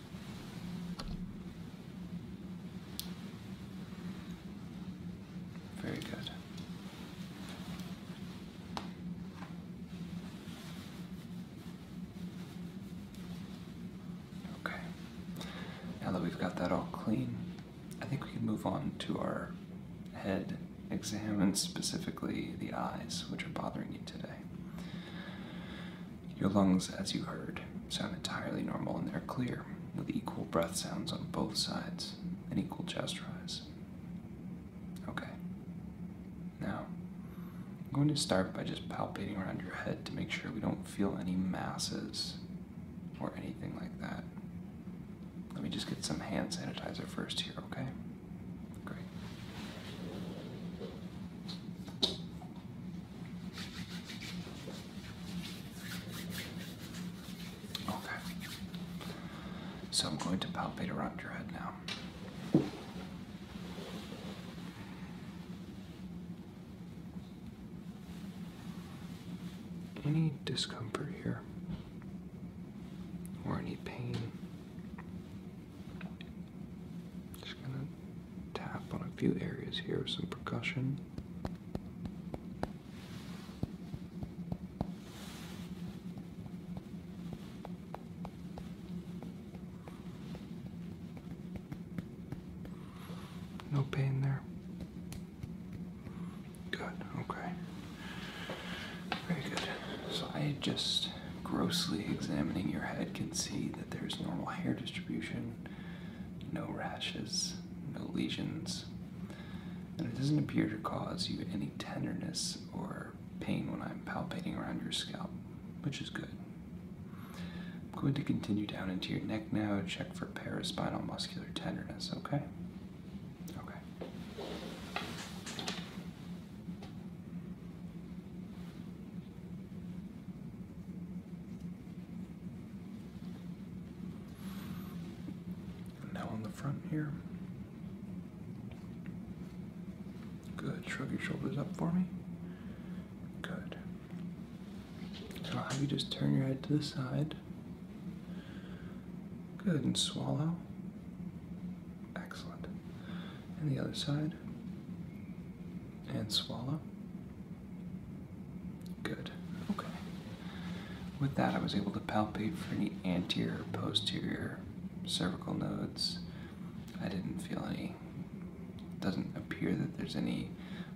Very good. Okay. Now that we've got that all clean, I think we can move on to our head exam and specifically the eyes, which are bothering you today. Your lungs, as you heard, sound entirely normal and they're clear, with equal breath sounds on both sides and equal chest rise. Okay. Now, I'm going to start by just palpating around your head to make sure we don't feel any masses or anything like that. Let me just get some hand sanitizer first here, okay? Great. Okay. So I'm going to palpate around your head now. Any discomfort here? Or any pain? Just gonna tap on a few areas here with some percussion. No pain there. Good, okay. Very good. So I just grossly examining your head can see that there's normal hair distribution no rashes, no lesions, and it doesn't appear to cause you any tenderness or pain when I'm palpating around your scalp, which is good. I'm going to continue down into your neck now and check for paraspinal muscular tenderness, okay? Okay now on the front here. Good. Shrug your shoulders up for me. Good. So I'll have you just turn your head to the side. Good. And swallow. Excellent. And the other side and swallow. Good. Okay. With that, I was able to palpate for any anterior, posterior, cervical nodes. I didn't feel any. Doesn't appear that there's any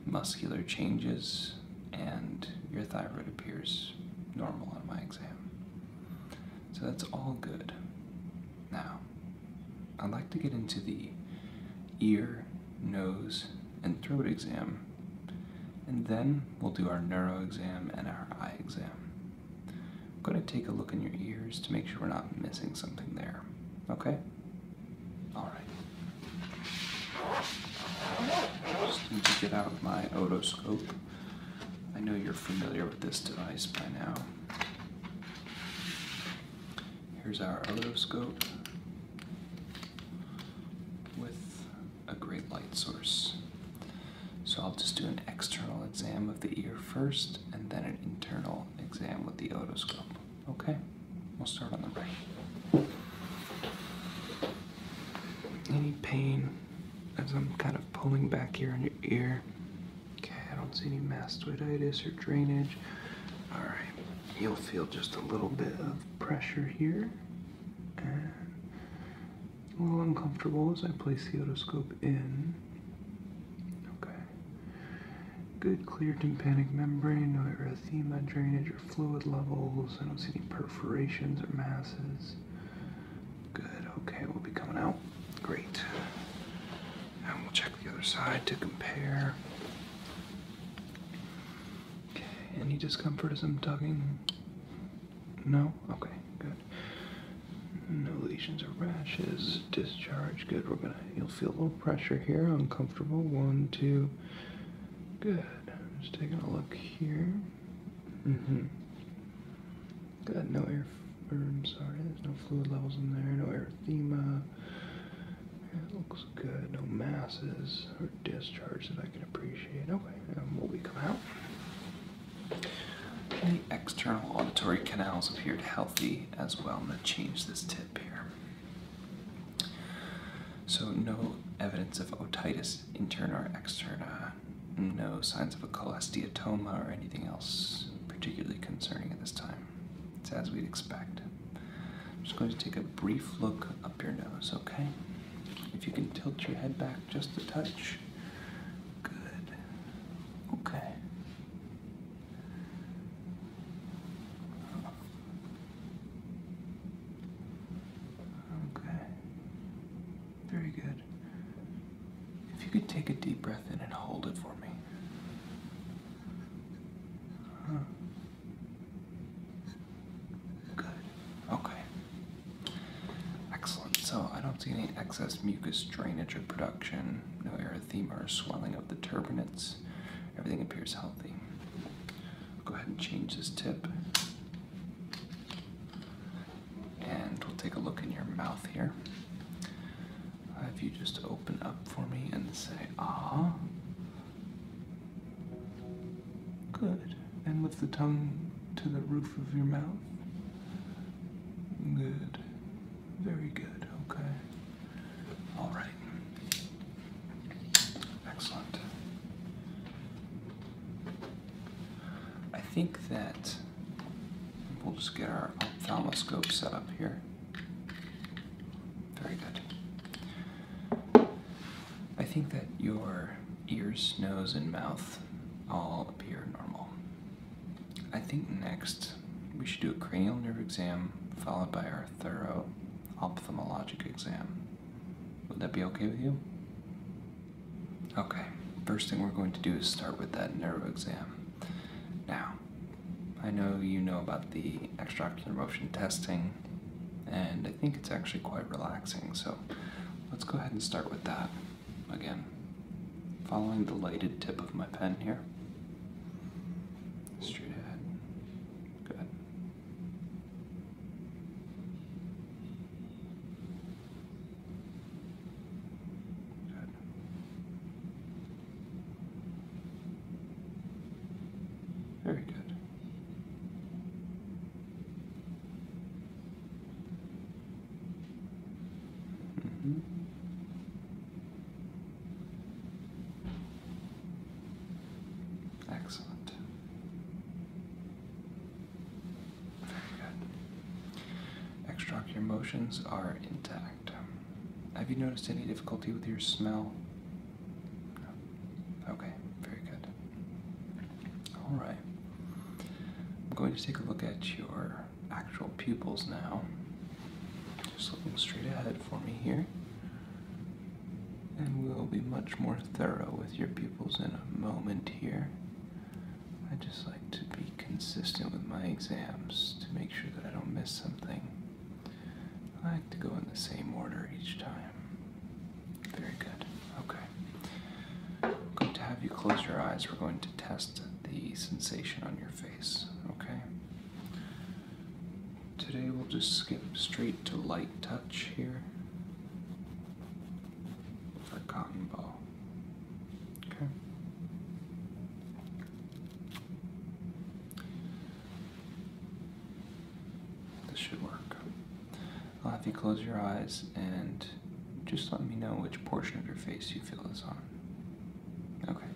muscular changes, and your thyroid appears normal on my exam. So that's all good. Now, I'd like to get into the ear, nose, and throat exam, and then we'll do our neuro exam and our eye exam. I'm going to take a look in your ears to make sure we're not missing something there. Okay? Alright. Just need to get out my otoscope. I know you're familiar with this device by now. Here's our otoscope with a great light source. So I'll just do an external exam of the ear first and then an internal exam with the otoscope. Okay, we'll start on the right. Any pain as I'm kind of pulling back here on your ear? Okay, I don't see any mastoiditis or drainage. All right. You'll feel just a little bit of pressure here and a little uncomfortable as I place the otoscope in. Okay. Good clear tympanic membrane, no erythema, drainage, or fluid levels. I don't see any perforations or masses. Good, okay, we'll be coming out. Great. And we'll check the other side to compare. Okay, any discomfort as I'm tugging? No? Okay, good. No lesions or rashes. Discharge. Good. We're gonna you'll feel a little pressure here. Uncomfortable. One, two. Good. just taking a look here. Mm-hmm. Good, no air or, er, I'm sorry, there's no fluid levels in there, no erythema. It looks good. No masses or discharge that I can appreciate. Okay, and um, will we come out? The external auditory canals appeared healthy as well. I'm going to change this tip here. So, no evidence of otitis, interna or externa, no signs of a cholesteatoma or anything else particularly concerning at this time. It's as we'd expect. I'm just going to take a brief look up your nose, okay? If you can tilt your head back just a touch. Good. Okay. Okay. Very good. If you could take a deep breath in and hold it for me. Good. Okay. Excellent. So I don't see any excess mucus drainage or production, no erythema or swelling of the turbinates. Everything appears healthy. Go ahead and change this tip. And we'll take a look in your mouth here. Uh, if you just open up for me and say, ah. Good. And lift the tongue to the roof of your mouth. Good. Very good. Okay. All right. Excellent. I think that we'll just get our ophthalmoscope set up here. Very good. I think that your ears, nose, and mouth all appear normal. I think next we should do a cranial nerve exam followed by our thorough ophthalmologic exam. Would that be okay with you? Okay, first thing we're going to do is start with that nerve exam. Now, I know you know about the extracurricular motion testing, and I think it's actually quite relaxing, so let's go ahead and start with that again. Following the lighted tip of my pen here. Straight ahead. Good. Good. Very good. Mm-hmm. Excellent. Very good. Extraocular motions are intact. Have you noticed any difficulty with your smell? No. Okay, very good. Alright. I'm going to take a look at your actual pupils now. Just looking straight ahead for me here. And we'll be much more thorough with your pupils in a moment here. I just like to be consistent with my exams to make sure that I don't miss something. I like to go in the same order each time. Very good. Okay. Good to have you close your eyes. We're going to test the sensation on your face. Okay. Today we'll just skip straight to light touch here cotton ball. Okay. This should work. I'll have you close your eyes and just let me know which portion of your face you feel is on. Okay.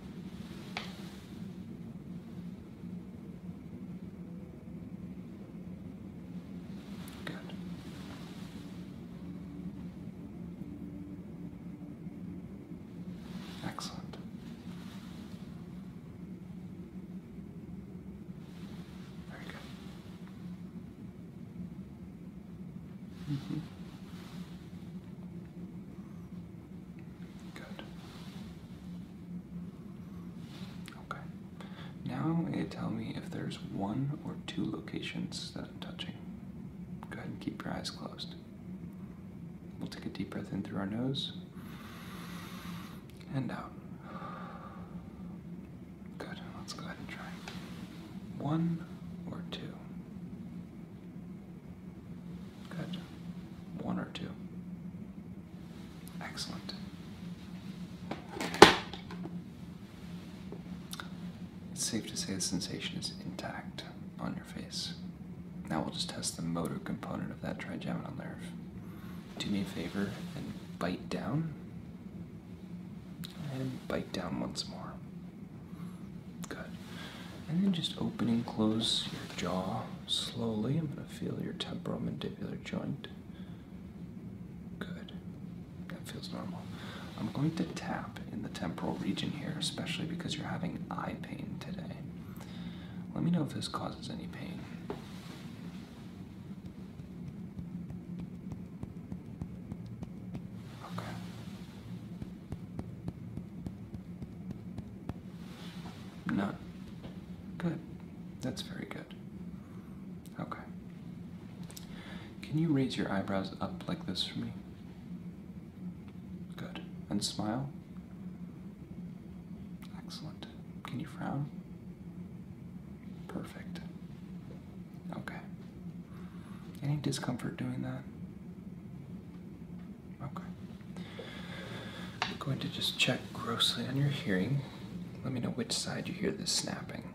Good. Excellent. Very good. Mm -hmm. Good. Okay. Now it tell me if there's one or two locations that I'm touching. Go ahead and keep your eyes closed. We'll take a deep breath in through our nose and out. Good. Let's go ahead and try one or two. Good. One or two. Excellent. It's safe to say the sensation is intact on your face. Now we'll just test the motor component of that trigeminal nerve. Do me a favor and bite down. And bite down once more. Good. And then just open and close your jaw slowly. I'm going to feel your temporal mandibular joint. Good. That feels normal. I'm going to tap in the temporal region here, especially because you're having eye pain today. Let me know if this causes any pain. Okay. None. Good. That's very good. Okay. Can you raise your eyebrows up like this for me? Good. And smile. Excellent. Can you frown? Perfect. Okay. Any discomfort doing that? Okay. I'm going to just check grossly on your hearing. Let me know which side you hear this snapping.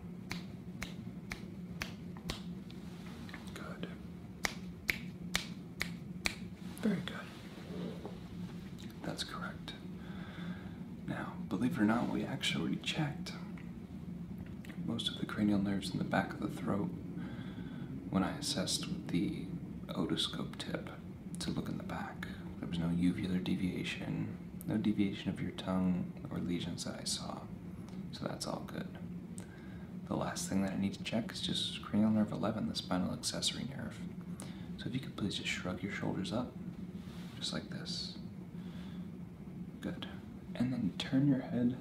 Good. Very good. That's correct. Now, believe it or not, we actually checked most of the cranial nerves in the back of the throat when I assessed with the otoscope tip to look in the back. There was no uvular deviation, no deviation of your tongue or lesions that I saw, so that's all good. The last thing that I need to check is just cranial nerve 11, the spinal accessory nerve. So if you could please just shrug your shoulders up, just like this. Good. And then turn your head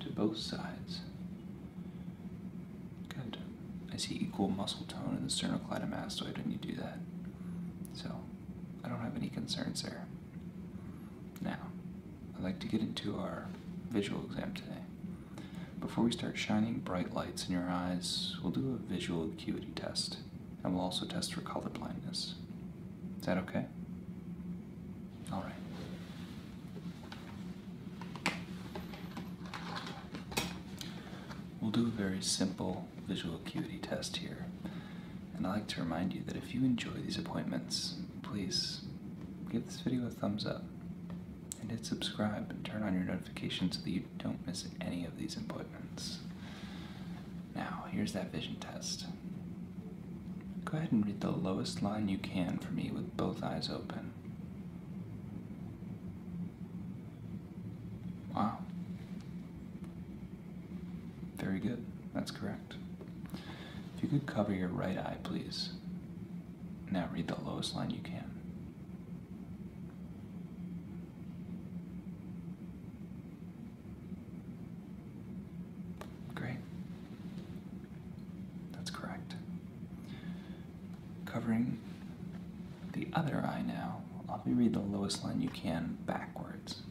to both sides. Good. I see equal muscle tone in the sternocleidomastoid when you do that. So I don't have any concerns there. Now, I'd like to get into our visual exam today. Before we start shining bright lights in your eyes, we'll do a visual acuity test, and we'll also test for color blindness. Is that okay? All right. We'll do a very simple visual acuity test here. And I'd like to remind you that if you enjoy these appointments, please give this video a thumbs up and hit subscribe and turn on your notifications so that you don't miss any of these appointments. Now, here's that vision test. Go ahead and read the lowest line you can for me with both eyes open. Wow. Very good. That's correct. If you could cover your right eye, please. Now read the lowest line you can. Great. That's correct. Covering the other eye now, I'll be reading the lowest line you can backwards.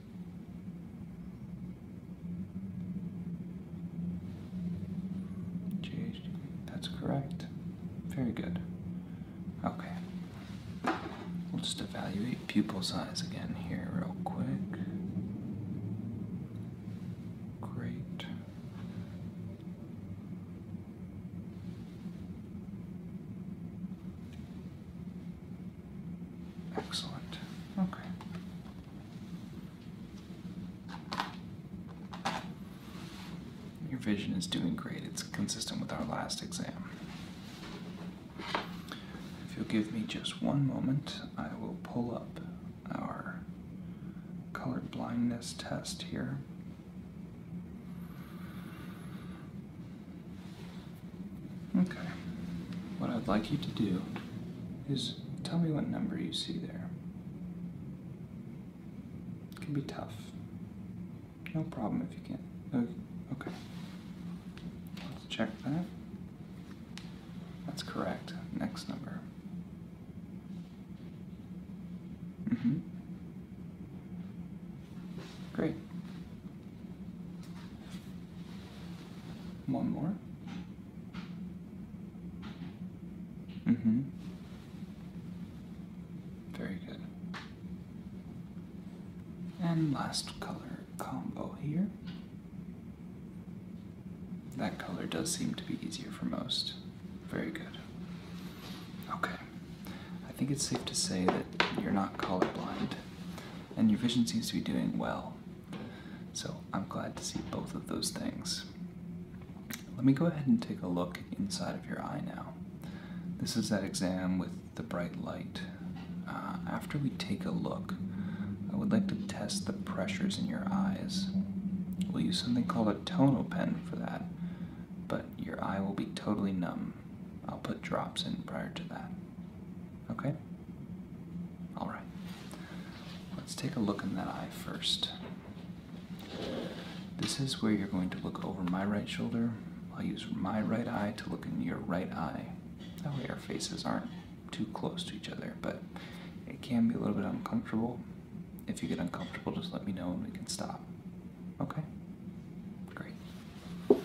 GHD. That's correct. Very good. Okay. We'll just evaluate pupil size again here, real quick. Great. Excellent. Okay. Your vision is doing great. It's consistent with our last exam. If you'll give me just one moment, I will pull up our color blindness test here. Okay. What I'd like you to do is tell me what number you see there. It can be tough. No problem if you can oh, Okay. Let's check that. That's correct. Next number. Mm-hmm. Great. One more. Mm-hmm. Very good. And last color combo here. That color does seem to be easier for most. Very good. Okay. I think it's safe to say that you're not color blind, and your vision seems to be doing well. So I'm glad to see both of those things. Let me go ahead and take a look inside of your eye now. This is that exam with the bright light. Uh, after we take a look, I would like to test the pressures in your eyes. We'll use something called a tonal pen for that, but your eye will be totally numb. I'll put drops in prior to that. Okay? Alright. Let's take a look in that eye first. This is where you're going to look over my right shoulder. I'll use my right eye to look in your right eye. That way our faces aren't too close to each other, but it can be a little bit uncomfortable. If you get uncomfortable, just let me know and we can stop. Okay? Great. All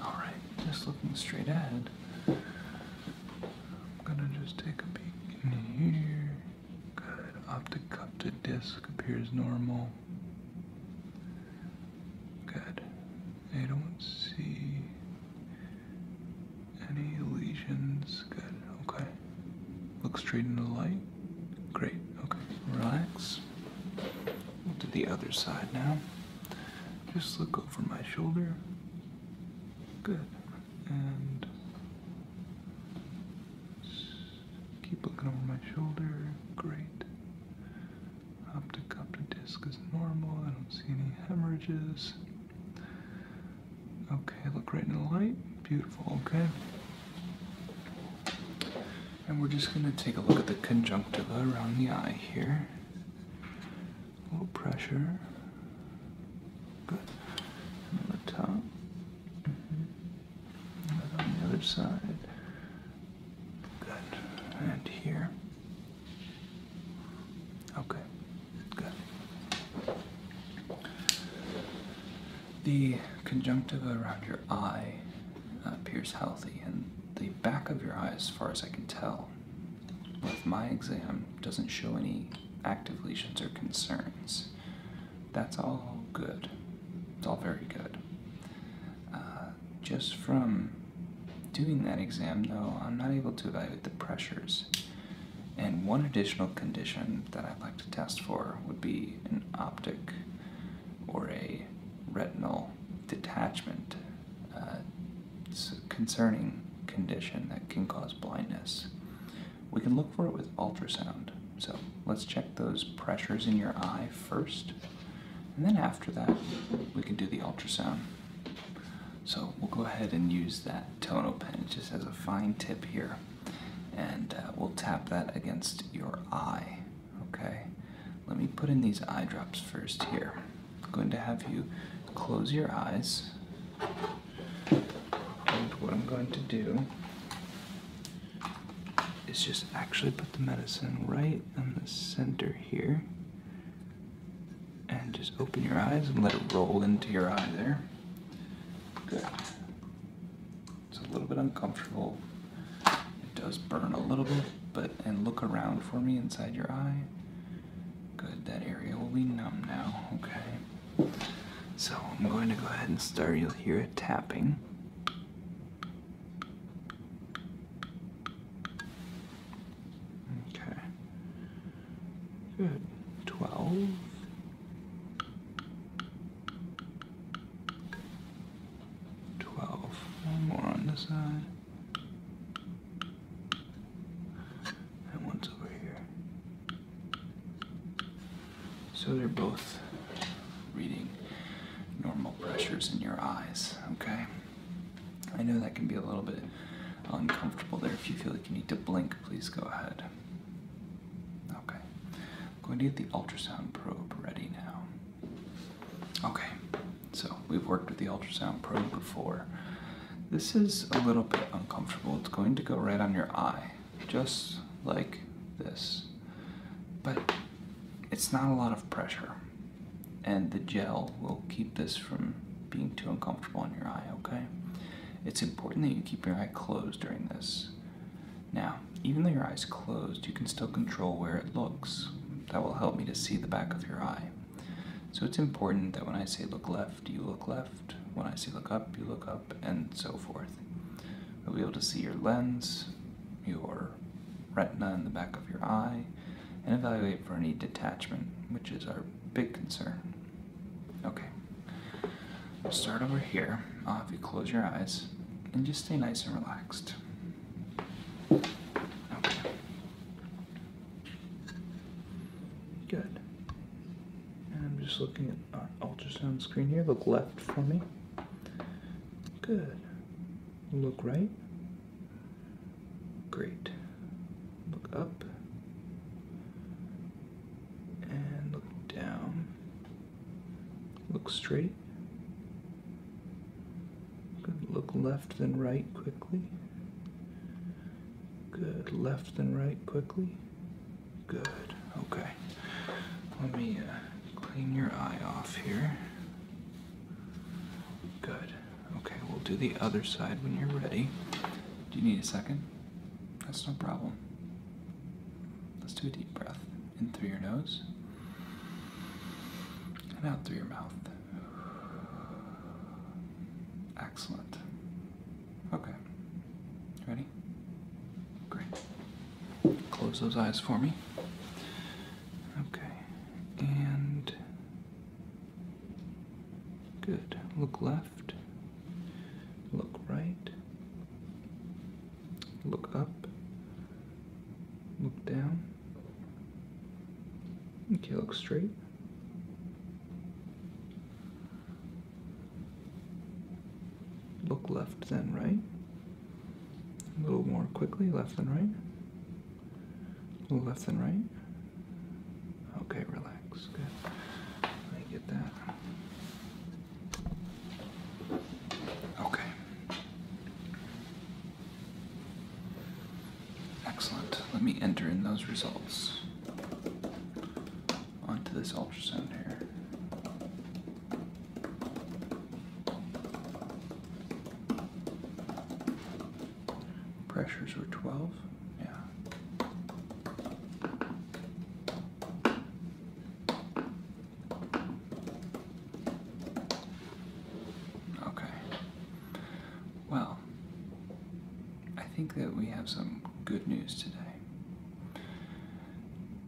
right, just looking straight ahead. I'm gonna just take a peek in here. Good. Optic cup to disc appears normal. Good. I don't see any lesions. Good. Okay. Look straight into the light. Great. Okay. Relax. We'll do the other side now. Just look over my shoulder. Good. And Keep looking over my shoulder. Great. Optic disc is normal. I don't see any hemorrhages. Okay, look right in the light. Beautiful, okay. And we're just going to take a look at the conjunctiva around the eye here. A little pressure. Good. And on on the other side. Good. And here. Okay. Good. The conjunctiva around your eye uh, appears healthy, and the back of your eye, as far as I can tell, with my exam, doesn't show any active lesions or concerns. That's all good. It's all very good. Uh, just from doing that exam, though, I'm not able to evaluate the pressures. And one additional condition that I'd like to test for would be an optic or a retinal detachment. it's uh, a concerning condition that can cause blindness we can look for it with ultrasound. So let's check those pressures in your eye first, and then after that, we can do the ultrasound. So we'll go ahead and use that tono pen. It just has a fine tip here, and uh, we'll tap that against your eye. Okay, let me put in these eye drops first here. I'm going to have you close your eyes and what I'm going to do is just actually put the medicine right in the center here. And just open your eyes and let it roll into your eye there. Good. It's a little bit uncomfortable. It does burn a little bit, but and look around for me inside your eye. Good, that area will be numb now, okay? So I'm going to go ahead and start. You'll hear it tapping. Okay. Good. 12. Twelve. One more on the side. And one's over here. So they're both reading normal pressures in your eyes, okay? I know that can be a little bit uncomfortable there. If you feel like you need to blink, please go ahead. Okay. going to get the ultrasound probe ready now. Okay. So we've worked with the ultrasound probe before. This is a little bit uncomfortable. It's going to go right on your eye just like this. But it's not a lot of pressure. And the gel will keep this from being too uncomfortable on your eye, okay? It's important that you keep your eye closed during this. Now, even though your eye's closed, you can still control where it looks. That will help me to see the back of your eye. So it's important that when I say look left, you look left. When I say look up, you look up, and so forth. We'll be able to see your lens, your retina in the back of your eye, and evaluate for any detachment, which is our big concern. Okay, we'll start over here. Ah, I'll have you close your eyes and just stay nice and relaxed. Okay. Good. I'm just looking at our ultrasound screen here. Look left for me. Good. Look right. Great. Look up. And look down. Look straight. Good. Look left then right quickly. Good. Left then right quickly. Good. Okay. Let me uh, clean your eye off here. Good. Okay, we'll do the other side when you're ready. Do you need a second? That's no problem. Let's do a deep breath in through your nose and out through your mouth. Excellent. Okay. Ready? Great. Close those eyes for me. Okay. And. Good. Look left. Look right. Look up. Look down. Okay, look straight. Look left then right. A little more quickly, left then right. A little left then right. Okay, relax. Good. I get that. Okay. Excellent. Let me enter in those results onto this ultrasound here. Pressures were 12, yeah. Okay. Well, I think that we have some good news today.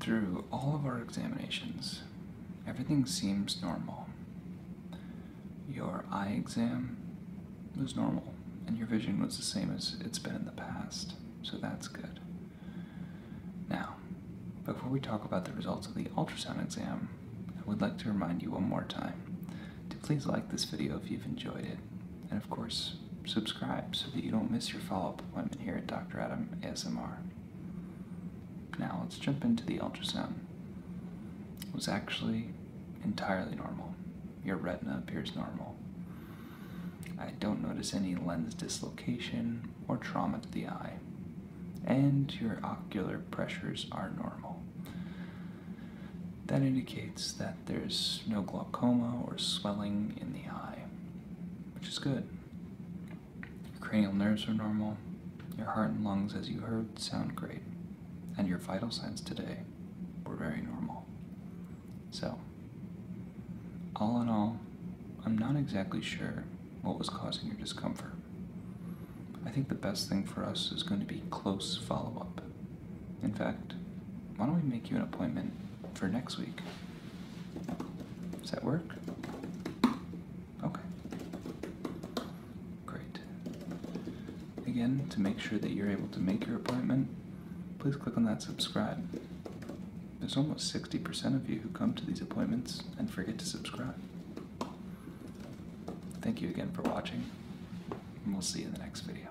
Through all of our examinations, everything seems normal. Your eye exam was normal, and your vision was the same as it's been in the past, so that's good. Now, before we talk about the results of the ultrasound exam, I would like to remind you one more time to please like this video if you've enjoyed it and of course, subscribe so that you don't miss your follow up appointment here at Dr. Adam ASMR. Now, let's jump into the ultrasound. It was actually entirely normal. Your retina appears normal. I don't notice any lens dislocation or trauma to the eye, and your ocular pressures are normal. That indicates that there's no glaucoma or swelling in the eye, which is good. Your cranial nerves are normal, your heart and lungs, as you heard, sound great, and your vital signs today were very normal. So, all in all, I'm not exactly sure what was causing your discomfort. I think the best thing for us is going to be close follow up. In fact, why don't we make you an appointment for next week? Does that work? Okay. Great. Again, to make sure that you're able to make your appointment, please click on that subscribe. There's almost 60% of you who come to these appointments and forget to subscribe. Thank you again for watching, and we'll see you in the next video.